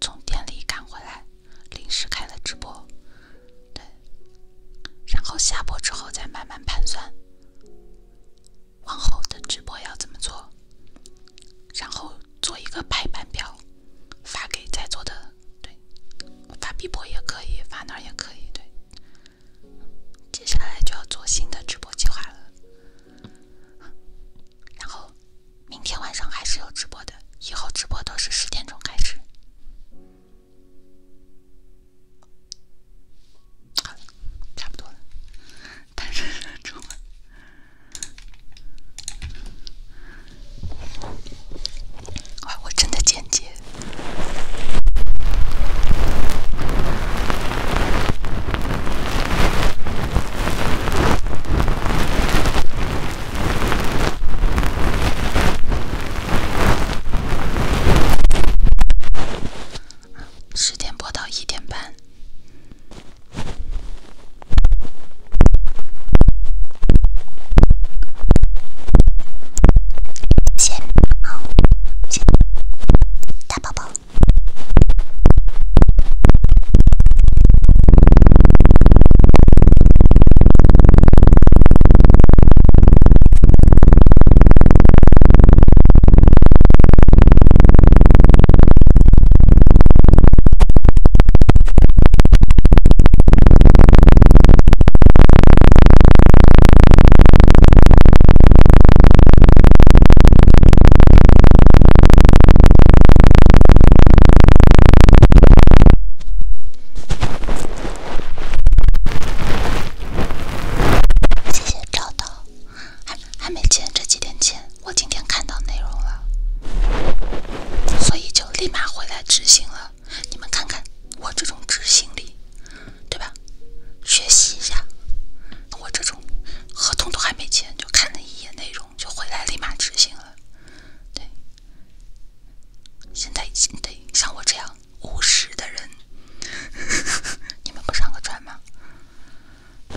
Speaker 2: 从店里赶回来，临时开了直播，对。然后下播之后再慢慢盘算，往后的直播要怎么做，然后做一个排版表，发给在座的。对，发 B 博也可以，发哪也可以。对，接下来就要做新的直播计划了。然后，明天晚上还是有直播的，以后直播都是十点钟开始。好了，差不多了，单身出门。啊！我真的简洁。十点播到一点半。先好，亲，大宝宝。谢谢赵导，还还没签，这几天签。我今天看到内容了，所以就。立马回来执行了，你们看看我这种执行力，对吧？学习一下我这种，合同都还没签就看了一眼内容就回来立马执行了，对。现在已经得像我这样务实的人，你们不上个船
Speaker 3: 吗？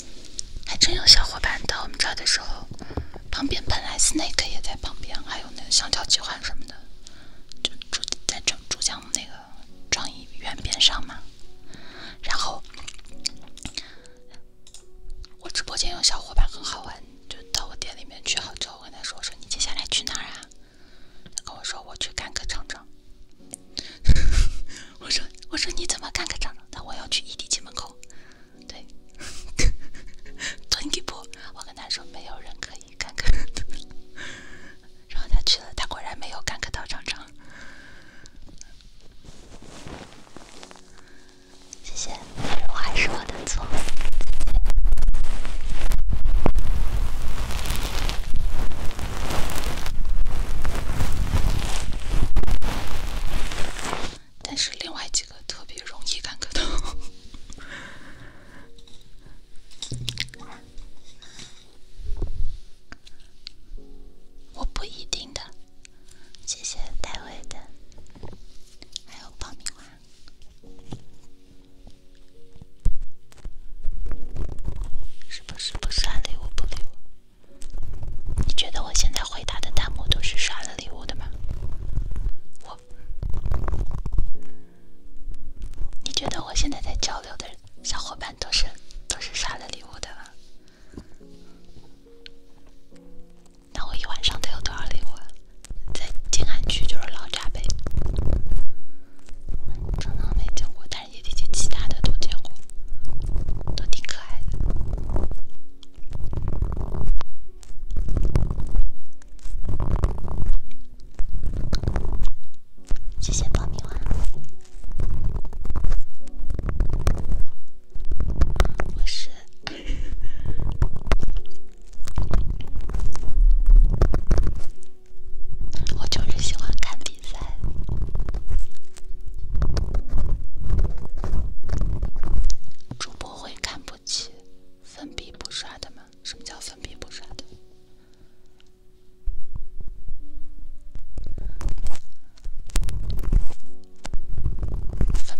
Speaker 2: 还真有小伙伴到我们这儿的时候，旁边本来 snake 也在旁边，还有那个香蕉计划什么的，就住在江珠江那个创意园边上嘛。然后我直播间有小伙伴很好玩，就到我店里面去，好之后我跟他说：“我说你接下来去哪儿啊？”他跟我说：“我去干个厂长。” 我说我说你怎么干个厂长的？我要去异地 c 门口，对，蹲几步。我跟他说没有人可以干个，然后他去了，他果然没有干个到厂长。谢谢，还是我的错。但是另外几个特别容易干咳的，我不一定的。谢谢戴维的，还有爆米花，是不是不刷礼物？不礼物。你觉得我现在回答的弹幕都是刷了礼物的吗？我？你觉得我现在在交流的小伙伴都是都是刷了礼物的吗？那我一晚上都有多少礼物？在静安区就是老渣呗。真的没见过，但是也得竟其他的都见过。都挺可爱的，
Speaker 3: 谢谢爆米花。我是，
Speaker 2: 我就是喜欢看比赛。主播会看不起粉笔不刷的吗？什么叫粉笔不刷的？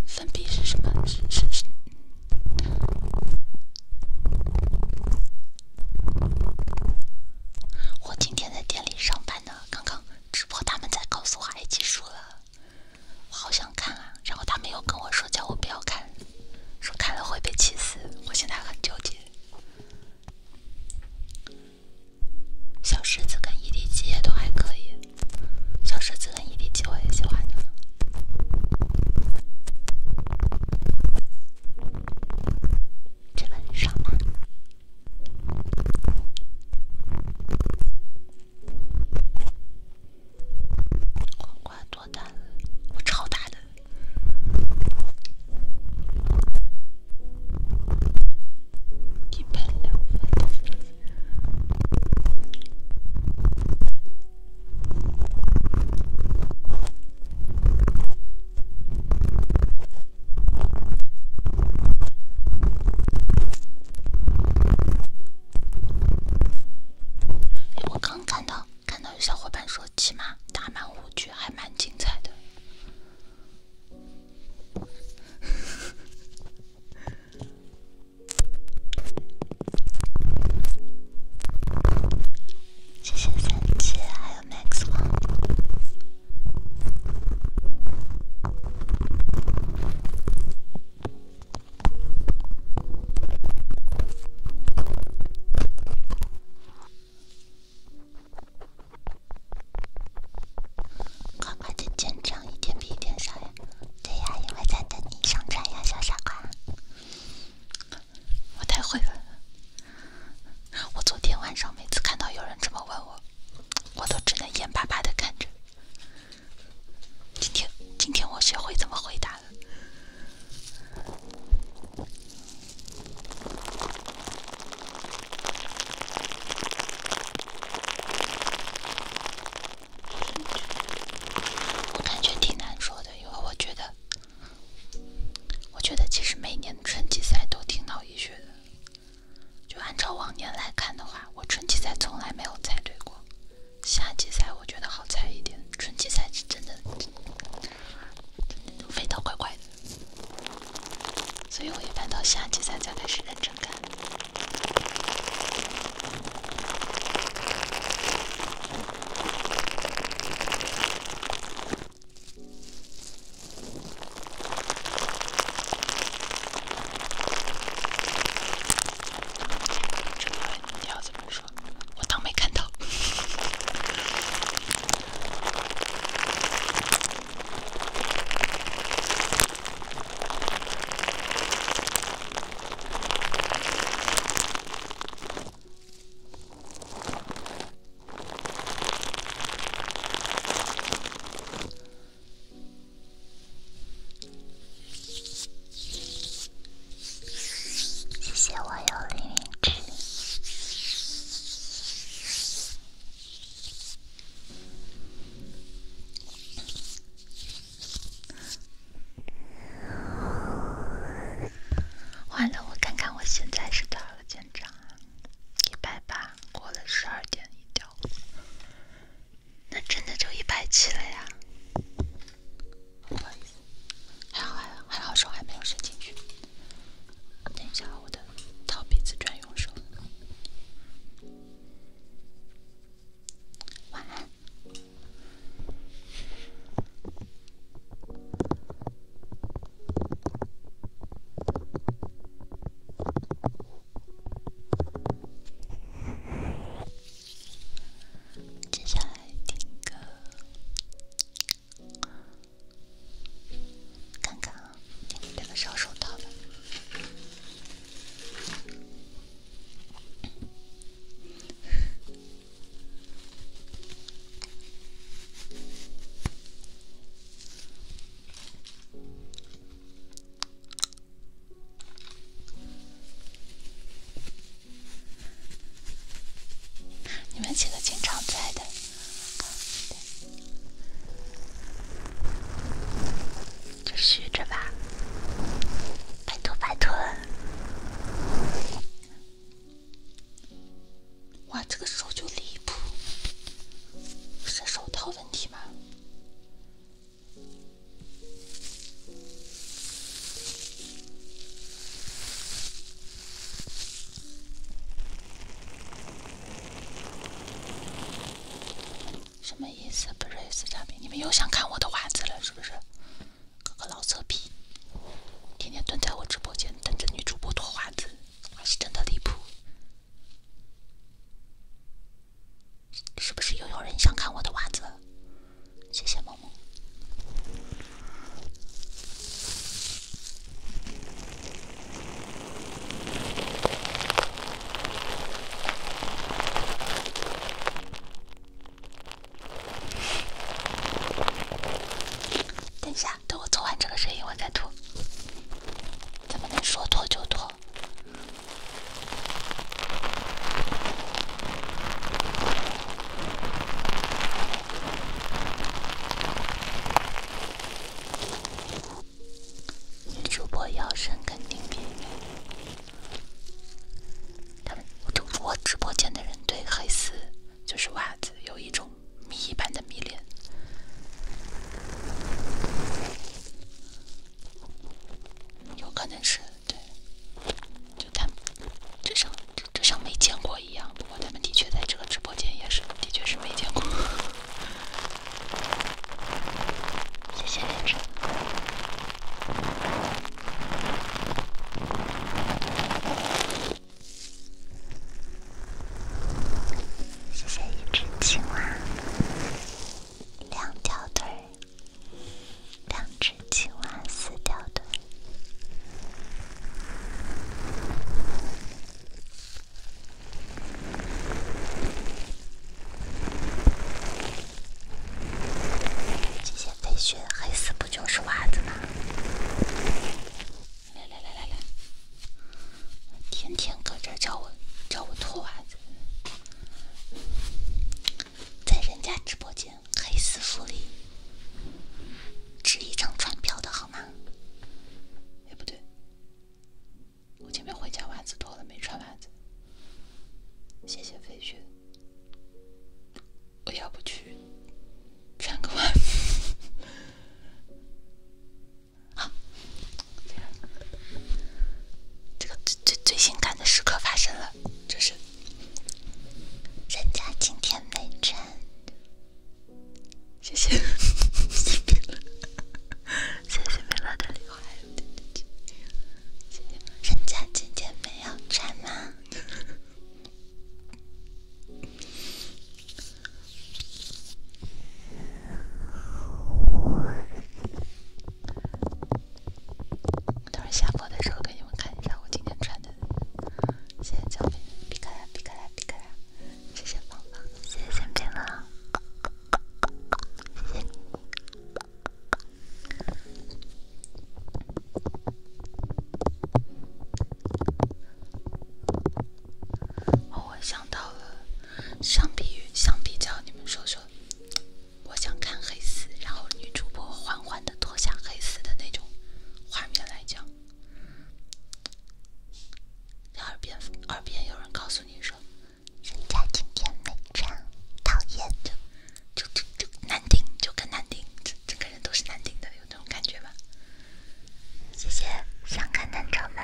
Speaker 3: 粉笔是什么？是是是？
Speaker 2: 我今天在店里上班呢，刚刚。直播他们在告诉我爱几输了，好想看啊！然后他们又跟我说叫我不要看，说看了会被气死。我现在很纠结。小狮子跟异地七也都还可以，小狮子跟异地七我也喜欢的，真的很少吧？我瓜多大？我超大的，一盆两份。我刚看到，看到有小伙伴说，起码打满五局还蛮精彩的。谢谢三姐，还有 m 麦穗。
Speaker 3: 哥哥，这紧张，一天比一天少呀？对呀，因为在等你上船呀，小傻瓜。
Speaker 2: 我太会了，我昨天晚上每次看到有人这么问我。我都只能眼巴巴的看着。今天，今天我学会怎么回答了。我感觉挺难说的，因为我觉得，我觉得其实每年春季赛都挺脑溢学的。就按照往年来看的话，我春季赛从来没有猜对过，夏季赛我觉得好猜一点，春季赛是真的味道怪怪的，所以我一般到夏季赛才开始认真看。这个问题要怎么说？我当没看到。谢谢我有凌云志。完了，我看看我现在是多少个奖章啊？一百八，过了十二点一掉。那真的就一百七了呀！不好意思，还好还好手还没有伸进去。等一下，我的掏鼻子专用手。晚安。接下来听歌，看看啊，听这个小手套的。你们几个经常在的，就学着吧。拜托拜托！哇，这个手就离谱，是手套问题吗？什么意思？不认识产品，你们又想看我的袜子了是不是？哥个老色批，天天蹲在我直播间等着女主播脱袜子，还是真的离谱？是不是又有人想看我的袜子？谢谢萌萌。等一下，等我做完这个声音，我再吐。怎么能说脱就脱？女主播腰身肯定迷人。他们我我直播间的人对黑丝就是袜子有一种迷一般的迷恋。有可能是对，就他们就像这就像没见过一样。不过他们的确在这个直播间也是，的确是没见过。
Speaker 3: 谢谢连只，谢谢一只青蛙。两条腿，两
Speaker 2: 只青蛙四条腿。这些飞雪，黑丝不就是袜子吗？来来来来来，天天搁这叫我叫我脱袜子。在人家直播间，黑丝福利，值一张船票的好吗？也不对，我前面回家袜子脱了，没穿袜子。谢谢飞雪，我要不去穿个袜子。好，这个。最最性感的时刻发生了，这是。人家今天没穿。谢谢，谢谢米乐的礼物还有点赞，谢谢。人家今天没有穿吗？等会儿下播的时候给你们看一下我今天穿的。谢谢小粉，皮卡啦皮卡啦皮卡啦！谢谢萌萌，谢谢森冰了，哦，我想到了，相比于相比较，你们说说。我想看黑丝，然后女主播缓缓地脱下黑丝的那种画面来讲。你耳边，耳边有人告诉你说：“人家今天没穿，讨厌！”就就就就难听，就更难听，整整个人都是难听的，有那种感觉吗？谢谢，想看男装们。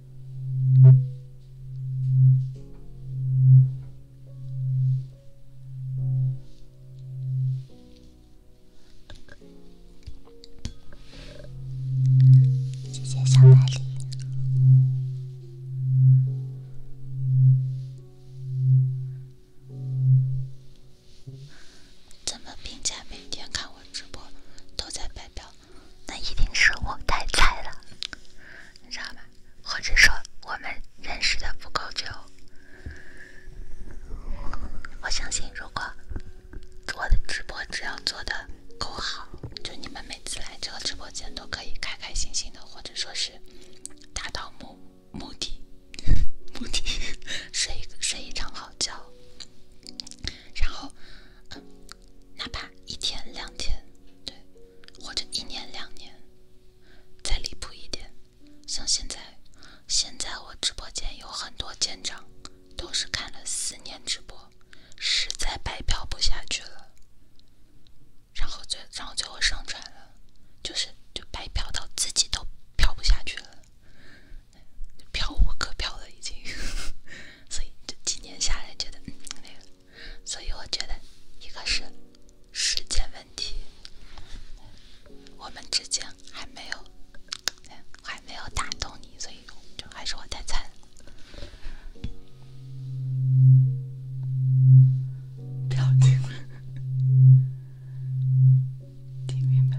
Speaker 3: 谢谢小奶梨。
Speaker 2: 怎么评价每天看我直播都在摆表？那一定是我太菜了，你知道吗？或者说我们认识的不够久。我相信，如果我的直播只要做的够好，就你们每次来这个直播间都可以开开心心的，或者说是达到目目的，目的 睡一个睡一场好觉，然后。哪怕一天两天，对，或者一年两年，再离谱一点，像现在，现在我直播间有很多舰长，都是看了四年直播，实在白嫖不下去了，然后最然后最后上船了，就是就白嫖到自己都嫖不下去了，飘无可飘了已经，所以这几年下来觉得那个。所以我觉得，一个是时间问题，我们之间还没有，还没有打动你，所以就还是我太菜了。听听明白？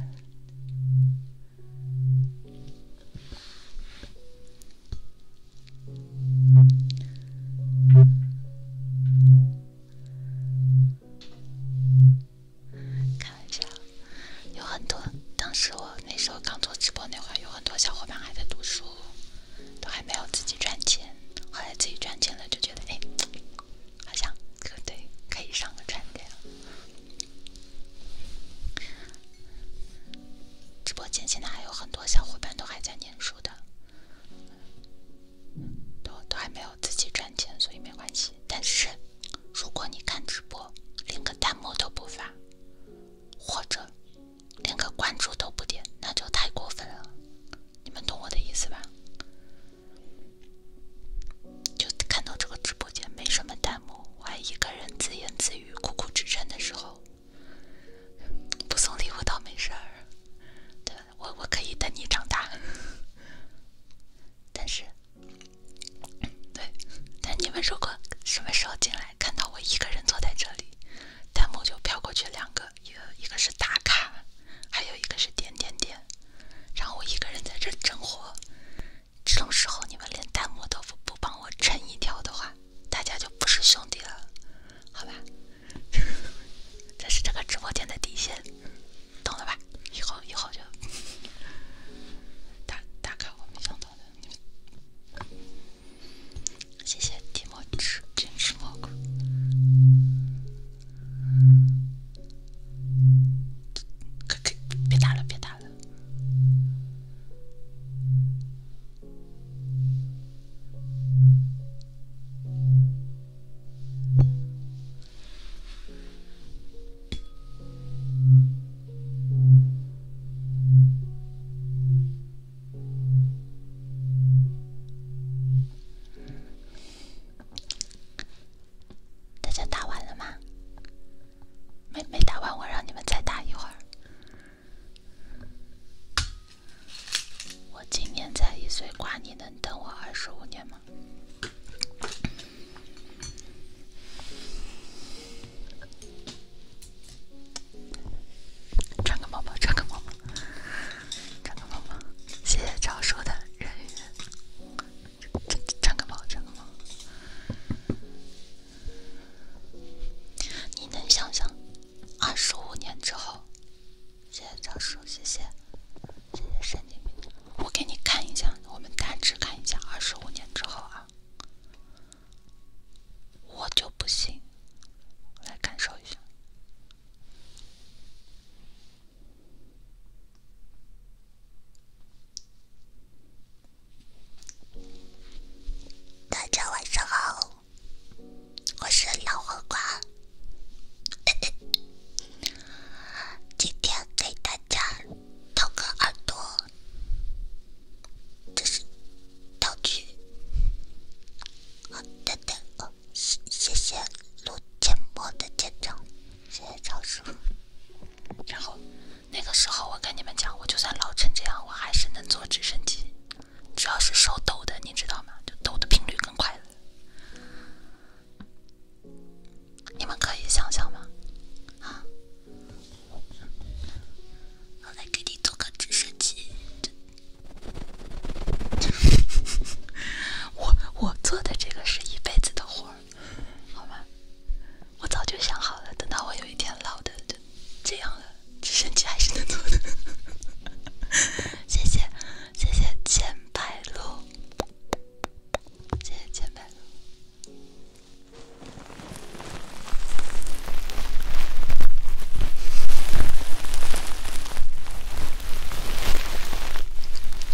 Speaker 2: 开玩笑，有很多。当时我那时候刚做直播那会儿，有很多小伙伴还在读书，都还没有自己赚钱。后来自己赚钱了，就觉得哎，好像可对，可以上个船这样。直播间现在还有很多小伙伴都还在念书的，都都还没有自己赚钱，所以没关系。但是，如果你看直播连个弹幕都不发，或者连个关注都不点，那就太过分了。你们懂我的意思吧？就看到这个直播间没什么弹幕，我还一个人自言自语、苦苦支撑的时候。不送礼物倒没事儿，对我我可以等你长大。但是，对，但你们如果什么时候进来，看到我一个人坐在这里，弹幕就飘过去两个，一个一个是打卡，还有一个是点点点，然后我一个人在这整活，这种时候，你们连弹幕都不不帮我撑一条的话。大家就不是兄弟了，好吧？这是这个直播间的底线，懂了吧？以后以后就打打卡。我没想
Speaker 3: 到的，谢谢提莫吃坚持蘑菇。别打了，别打了。
Speaker 2: 大家打完了吗？没没打完，我让你们再打一会儿。我今年才一岁，瓜你能等我二十五年吗？穿个毛毛，穿个毛毛，穿个毛毛，谢谢超的人穿个毛，穿个毛。你能想象二十五年之后？谢谢赵叔，谢谢，谢谢神经病。我给你看一下，我们大致看一下二十五年之后啊，我就不信，来感受一下。大家晚上好。我是老黄瓜，今天给大家
Speaker 3: 掏个耳朵，这是道具。好，等等，谢谢录节
Speaker 2: 目的人气，谢谢赵师傅。然后那个时候，我跟你们讲，就算老成这样，我还是能坐直升机。主要是手抖的，你知道吗？就抖的频率更快了。你们可以想想吗？啊，我来给你做个直升机。我我做的这个是一辈子的活儿，好吗？我早就想好了，等到我有一天老的。这样了，直升机还是能做的。谢谢，谢谢千百路，谢谢千百路。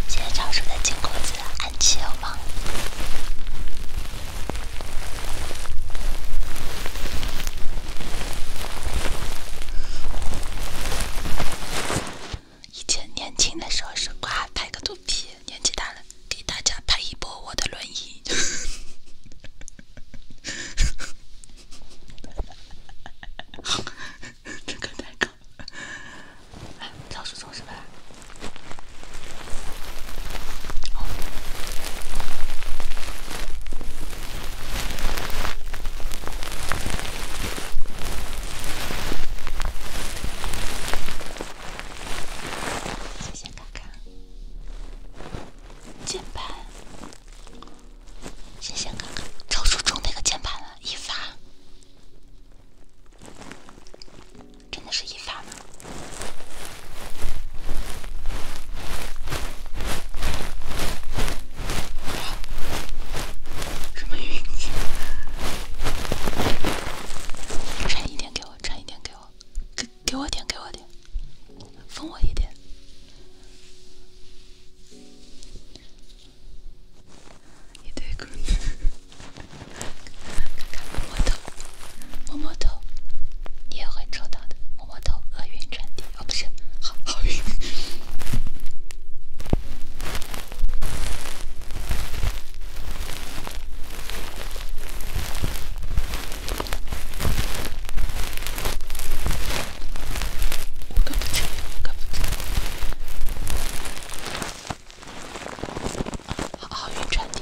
Speaker 2: 谢谢常叔的金公子安琪欧王。以前年轻的时候是瓜拍个肚皮，年纪大了给大家拍一波我的轮椅。哈 是谢谢卡卡，键盘。谢谢卡卡，超出中那个键盘了，一发。真的是一发吗？什么运气？铲一点给我，铲一点给我，给给我点，给我点，疯我一点。一对狗，看看摸摸头，摸摸头，你也会做到的。我头厄运传递哦，不是好好运。五不均匀，五不均
Speaker 3: 好好运传递。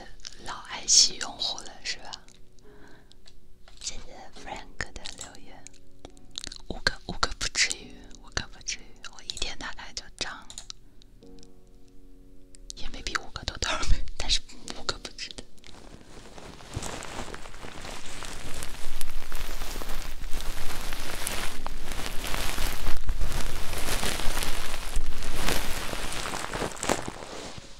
Speaker 2: 老爱惜用户了是吧？谢谢 Frank 的留言，五个五个不至于，五个不至于，我一天大概就涨，也没比五个多多少，但是五个不值得。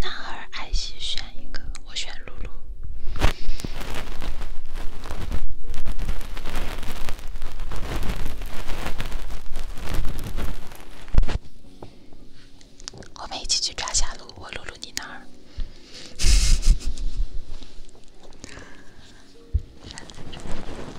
Speaker 2: 男儿爱惜选一个，我选露露。我们一起去抓下路，我露露你那儿。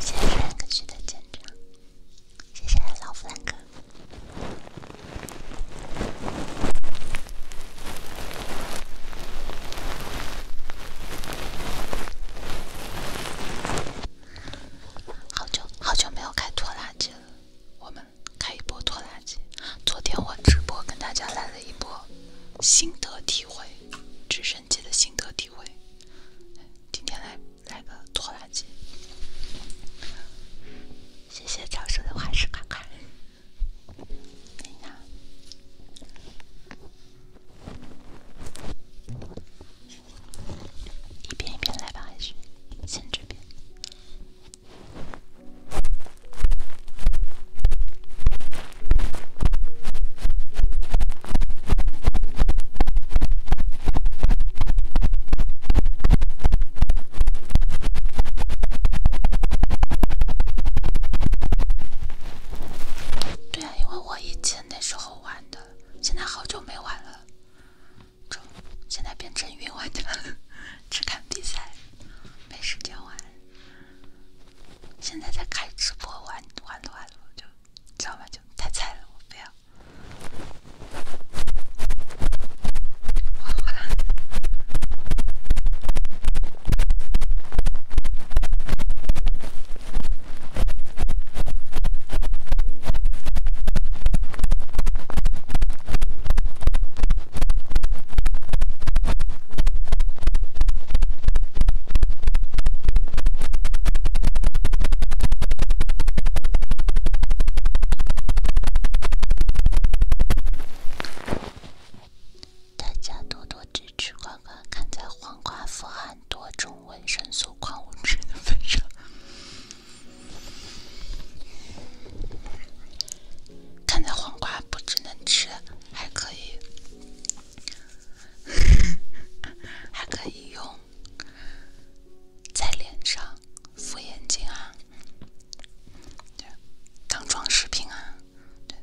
Speaker 2: 谢谢谢谢弗兰克的谢谢老弗兰克。好久好久没有开拖拉机了。我们开一波拖拉机。昨天我直播跟大家来了一波心得体会，直升机的心得体会。今天来来个拖拉机。谢谢长寿的画师看看。哎呀。一遍一遍来吧，还是先这边。对啊，因为我以前那时候玩的，现在好久没玩了。中，现在变成云玩家了，只看比赛，没时间玩。现在在开直播玩，玩着玩着就，知道吗？就太菜了，我不要。大家多多支持黄瓜，看在黄瓜富含多种维生素、矿物质的份上。看在黄瓜不只能吃，还可以，还可以用在脸上敷眼睛啊，对，当装饰品啊，对。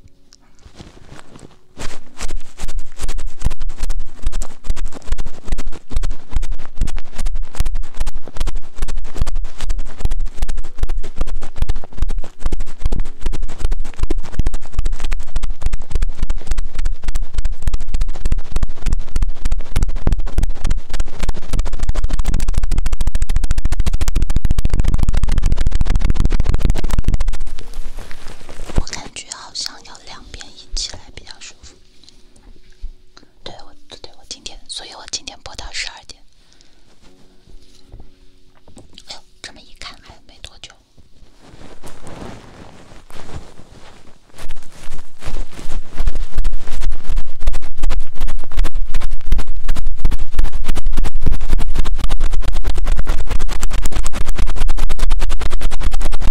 Speaker 2: 我感觉好像要两边一起来比较舒服。对，我对我今天，所以我今天播到十二点。哎呦，这么一看，还有没多久。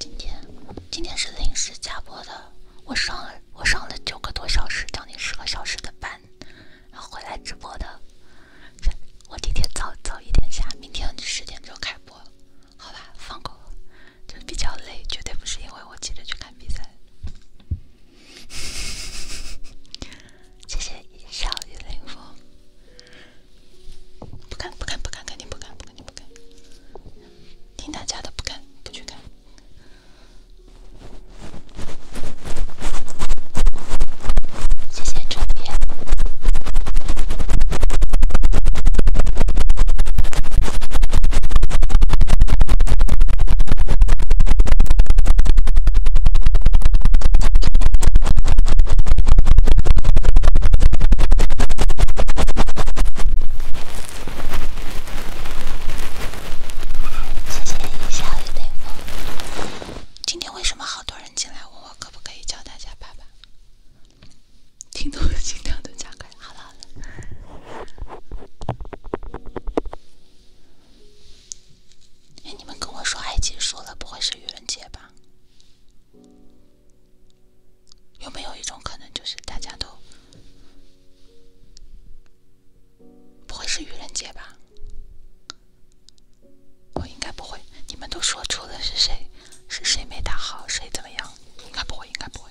Speaker 2: 今天，今天是临时加播的。我上了，我上了九个多小时，将近十个小时的班，然后回来直播的。我今天早早一点下，明天十点钟开播，好吧，放过我，就比较累，绝对不是因为我急着去看比赛。谢谢一笑一零风，不敢不敢不敢，肯定不敢，肯定不敢，听大家的，不敢不去看。谢谢陈别。谢谢小雨今天为什么好多人进来问我可不可以教大家爸爸？听懂的尽量都打开。好了好了。哎，你们跟我说爱结束了，不会是愚人节吧？有没有一种可能，就是大家都不会是愚人节吧？我应该不会，你们都说出了是谁，是谁没打好，谁怎么样？应该不会，应该不会。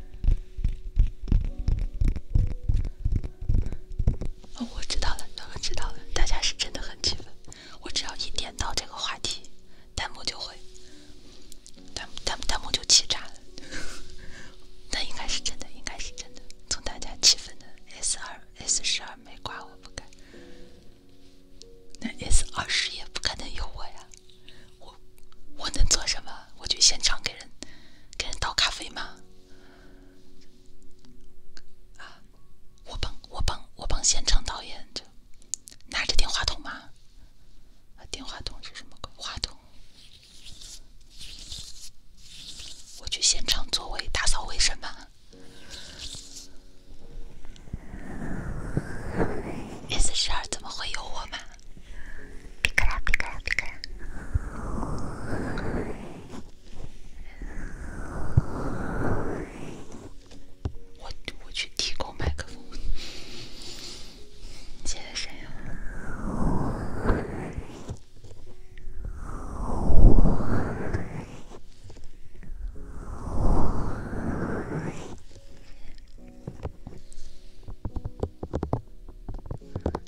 Speaker 2: 哦，我知道了，我知道了，大家是真的很气愤。我只要一点到这个话题，弹幕就会弹弹弹幕就气炸了。那 应该是真的，应该是真的。从大家气愤的 S 二、S 十二没挂，我不敢。那 S 二十也不可能有我呀。我我能做什么？我去现场给人给人倒咖啡吗？啊，我帮我帮我帮现场导演就拿着电话筒吗？电话筒是什么鬼？话筒？我去现场座位打扫卫生吗？S 十二怎么会有我嘛？皮卡丘，皮卡丘，皮卡丘！我我去提供麦克风，现在谁？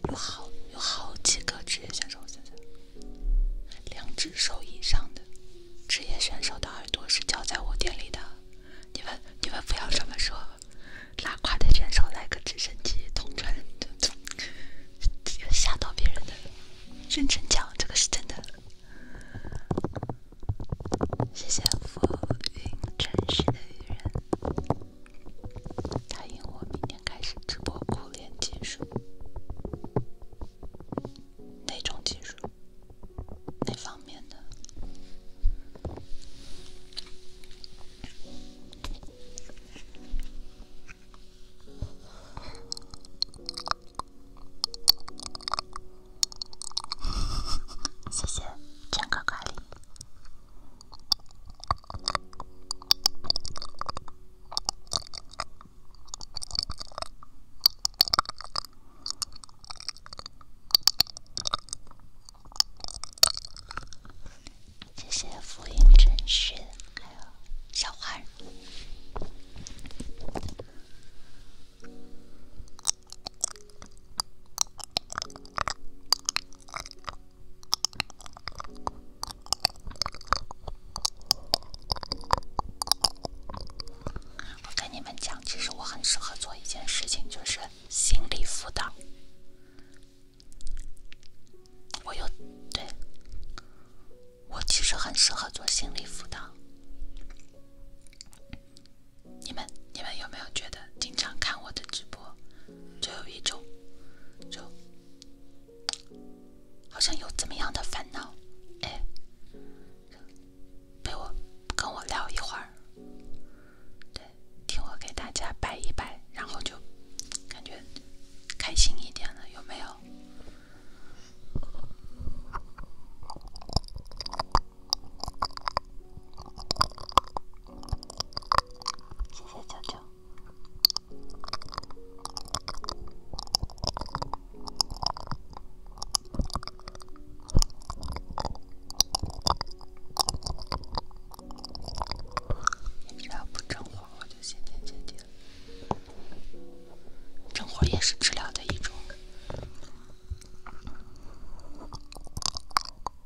Speaker 2: 有好有好几个职业选手，现在两只手以上的职业选手的耳朵是交在我店里的。你们你们不要这么说，拉胯的选手来个直升机通传，吓到别人的。认真讲，这个是真的。谢谢浮云尘世的雨人。答应我，明天开始直播，苦练技术。哪种技术？
Speaker 3: 哪方面的？谢谢，真乖，乖丽。
Speaker 2: 谢谢福音真实，还有小花。我跟你们讲，其实我很适合做一件事情，就是心理辅导。我有对，我其实很适合做心理辅导。你们，你们有没有觉得经常看我的直播？就有一种，就，好像有怎么样的烦恼，哎，陪我，跟我聊一会儿，对，听我给大家摆一摆，然后就感觉开心一点了，有没有？谢谢舅舅。只要不活，我就天地了。正也是治疗的一种。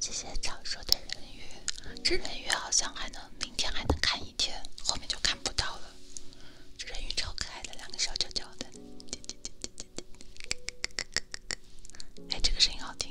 Speaker 2: 谢谢长说的人鱼，这人鱼好像还能明天还能看一天，后面就看不到了。人鱼超可爱的，两个小脚脚的。哎，这个声音好听。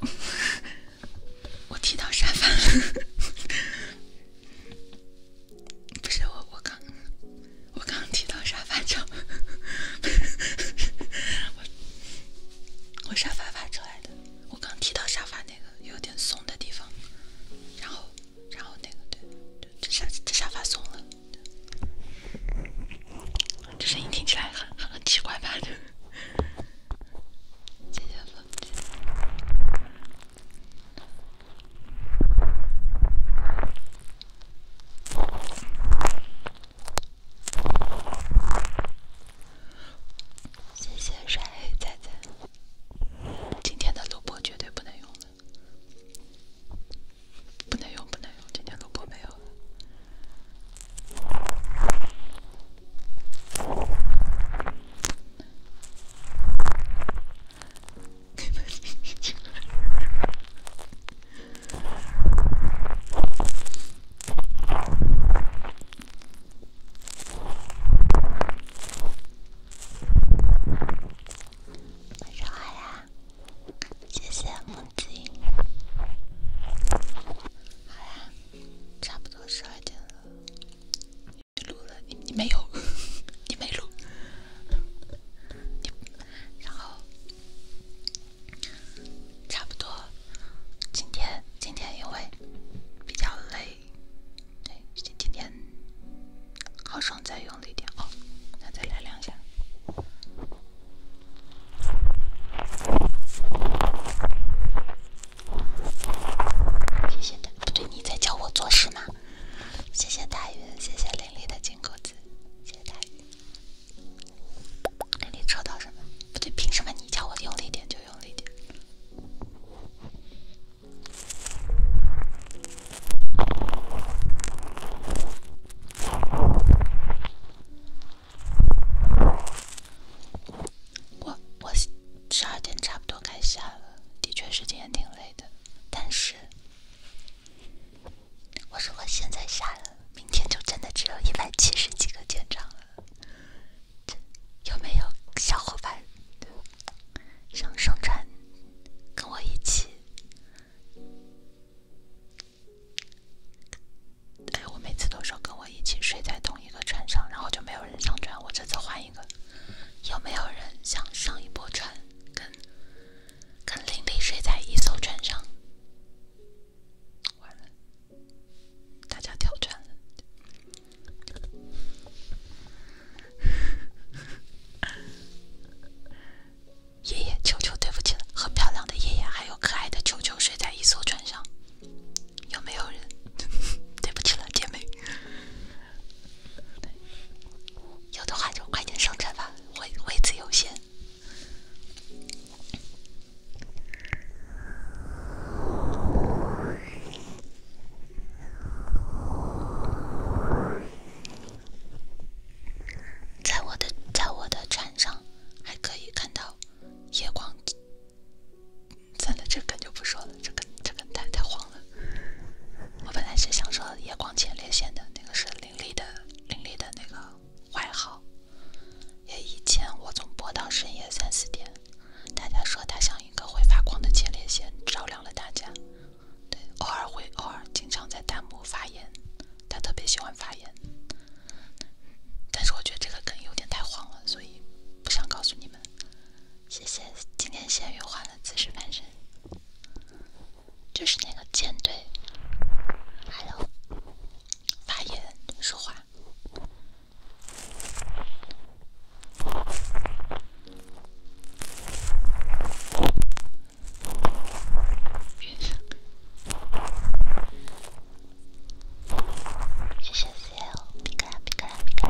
Speaker 3: 我踢到沙发了，
Speaker 2: 不是我，我刚，我刚踢到沙发脚，我，我沙发发出来的，我刚踢到沙发那个有点松的地方，然后，然后那个对，这这沙发松了，这声音听起来很很奇怪吧？姐姐。谢谢帅黑仔仔，今天的录播绝对不能用了，不能用，不能用，今天录播没有了。好呀，谢谢好十二点了。你录了，你你没有，你没录。然后差不多。今天今天因为比较累，对，今天好爽，再用力点哦，那再来两下。谢谢大不对你在教我做事吗？谢谢大鱼，谢谢玲玲的金钩子，谢谢大鱼。你抽到什么？不对，凭什么你叫我用力点就用力点？我我十二点差不多该下了，的确，是今天挺累的。但是，我如我现在下了，明天就真的只有一百七十几个建章了。有没有小伙伴想上传，跟我一起？哎，我每次都说跟我一起睡在同一。一个船上，然后就没有人上船。我这次换一个，有没有人想上一波船，跟跟林林睡在一艘船上？完了，大家跳船了。爷爷球球，对不起了，和漂亮的爷爷还有可爱的球球睡在一艘船上。有没有人？对不起了，姐妹。有的话就快点上车吧，位位子有限。在我的在我的船上，还可以看到夜光。算了，这根就不说了，这根这根太太黄了。我本来是想说夜光前列腺的那个是林立的林立的那个外号，也以前我总播到深夜三四点，大家说他像一个会发光的前列腺照亮了大家。对，偶尔会偶尔经常在弹幕发言，他特别喜欢发言。但是我觉得这个梗有点太黄了，所以不想告诉你们。谢谢，今天咸鱼换了姿势翻身，就是那个舰队。Hello，发言说话。谢谢，谢谢哦！皮卡皮卡皮卡！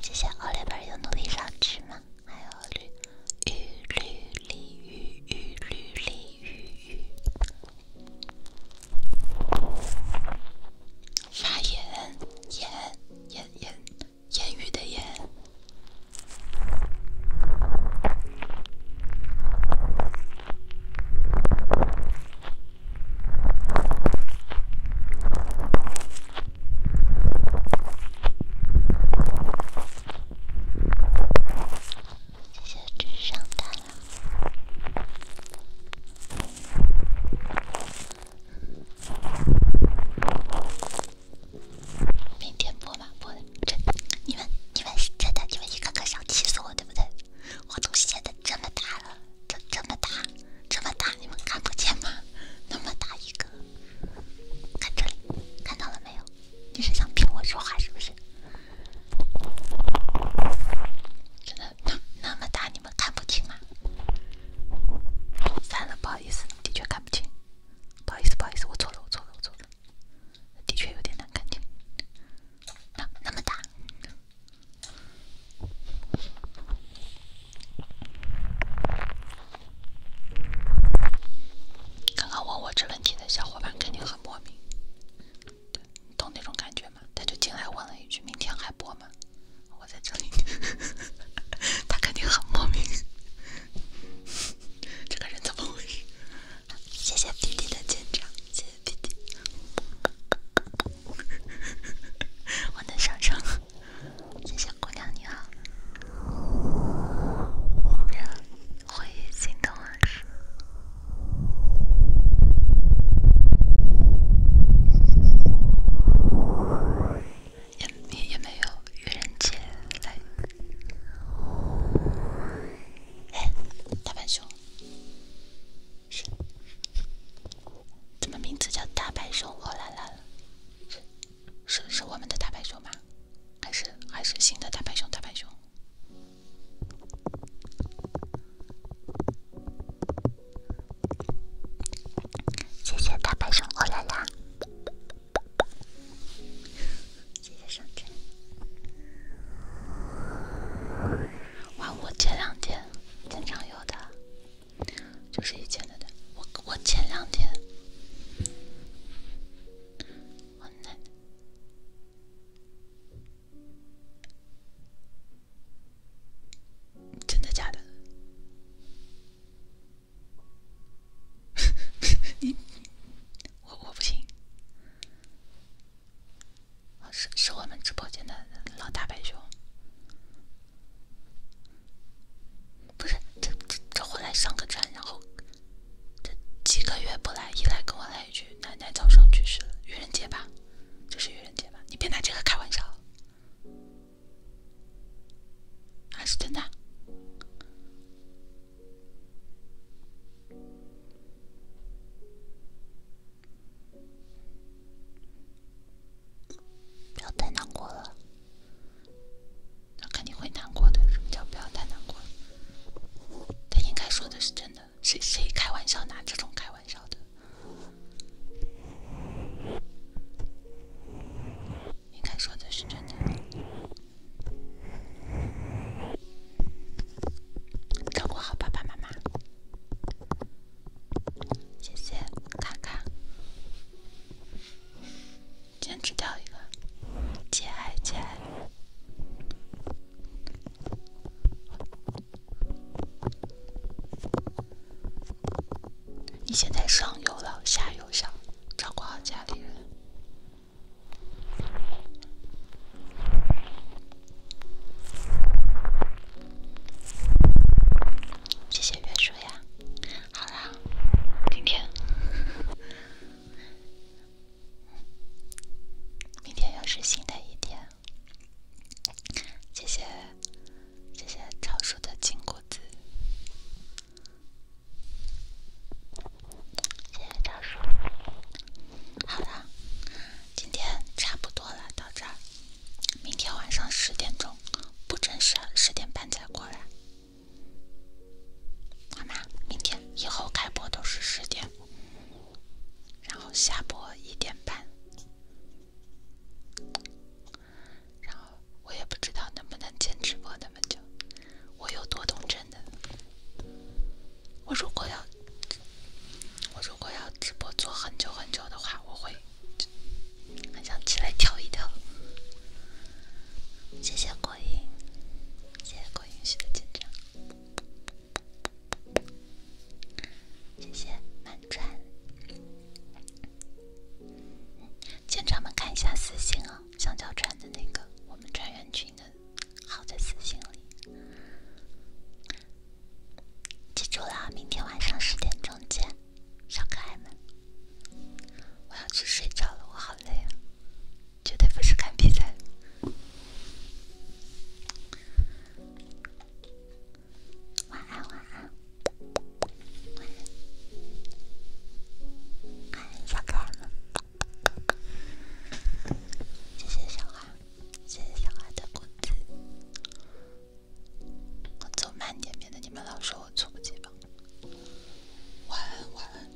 Speaker 2: 谢谢奥利弗的努力支持吗？还有绿绿绿绿绿绿绿绿，发言言言言。烟雨的烟，明天播吧，播的真，你们你们是真的，你们一个个想气死我，对不对？我都写的这么大了，这这么大，这么大，你们看不见吗？那么大一个，看这里，看到了没有？你是想骗我说话是不是？真的，那那么大你。你们看不清吗？算了，不好意思，的确看不清。不好意思，不好意思，我错了，我错了，我错了。的确有点难看清。那那么大。刚刚问我这问题的小伙伴肯定很莫名，懂那种感觉吗？他就进来问了一句：“明天还播吗？”我在这里，他肯定很莫名。这个人怎么回事？谢谢弟弟的见证，谢谢弟弟。我能上上？谢谢姑娘你好。回忆心动往事。也也也没有愚人节来。嘿，大白熊，怎么名字叫大白熊？哦啦啦，是是我们的大白熊吗？还是还是新的大白熊？大白熊。谢谢大白熊欧拉拉，谢谢上天。哇，我前两天经常有的，就是以前的，我我前两天，真的假的？你，我我不行，是是我们直播间的老大白熊，不是这这这回来上个站，然后这几个月不来一来跟我来一句“奶奶早上去世了”，愚人节吧，这是愚人节吧，你别拿这个开玩笑。还是真的，不要太难过了。那肯定会难过的。什么叫不要太难过他应该说的是真的。谁谁开玩笑拿这种开玩笑的？应该说的是真的，照顾好爸爸妈妈，谢谢卡卡，坚持掉一个，节哀节哀。你现在上有老下有小，照顾好家里人。谢谢月叔呀，好啦，明天，明天又是新的一天。谢谢，谢谢超叔的金谷子。谢谢张叔。好了，今天差不多了，到这儿。明天晚上十点钟，不准时，十点半再过来。好吗？明天以后开播都是十点，然后下播一点半。然后我也不知道能不能坚持播那么久，我有多动症的。我如果要，我如果要直播做很久很久的话，我会很想起来跳一跳。谢谢郭英，谢谢郭英许的紧张，谢谢慢转。舰长们看一下私信哦，香蕉船的那个我们船员群的，好在私信里。记住了，明天晚上十点钟见，小可爱们。我要去睡觉了，我好累啊，绝对不是看比赛。晚安，晚安。哎，小可爱们，谢谢小花，谢谢小花的工资。我走慢点，免得你们老说我猝不及防。晚安，晚安。